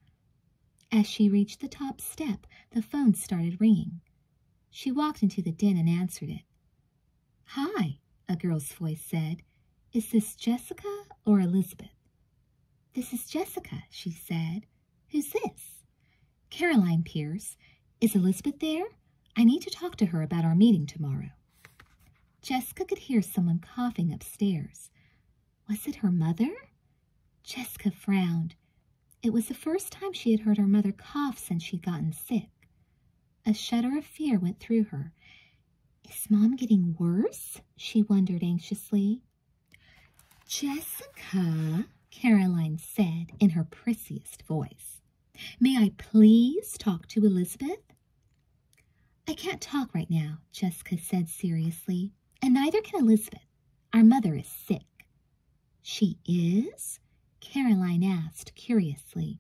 As she reached the top step, the phone started ringing. She walked into the den and answered it. Hi, a girl's voice said. Is this Jessica or Elizabeth? This is Jessica, she said. Who's this? Caroline Pierce. Is Elizabeth there? I need to talk to her about our meeting tomorrow. Jessica could hear someone coughing upstairs. Was it her mother? Jessica frowned. It was the first time she had heard her mother cough since she'd gotten sick. A shudder of fear went through her. Is Mom getting worse? she wondered anxiously. Jessica, Caroline said in her prissiest voice, may I please talk to Elizabeth? I can't talk right now, Jessica said seriously and neither can Elizabeth. Our mother is sick. She is? Caroline asked curiously.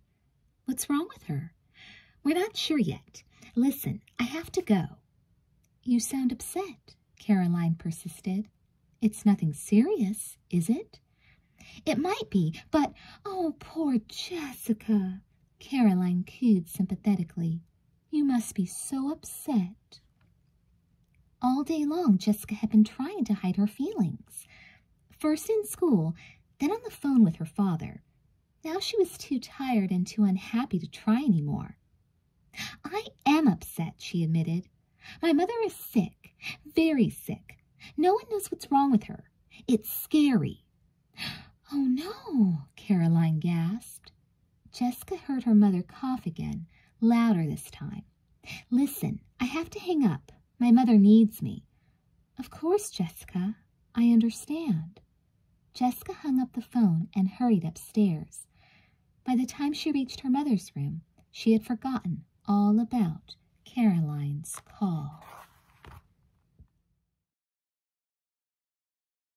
What's wrong with her? We're not sure yet. Listen, I have to go. You sound upset, Caroline persisted. It's nothing serious, is it? It might be, but oh, poor Jessica, Caroline cooed sympathetically. You must be so upset. All day long, Jessica had been trying to hide her feelings. First in school, then on the phone with her father. Now she was too tired and too unhappy to try anymore. I am upset, she admitted. My mother is sick, very sick. No one knows what's wrong with her. It's scary. Oh, no, Caroline gasped. Jessica heard her mother cough again, louder this time. Listen, I have to hang up. My mother needs me. Of course, Jessica. I understand. Jessica hung up the phone and hurried upstairs. By the time she reached her mother's room, she had forgotten all about Caroline's call.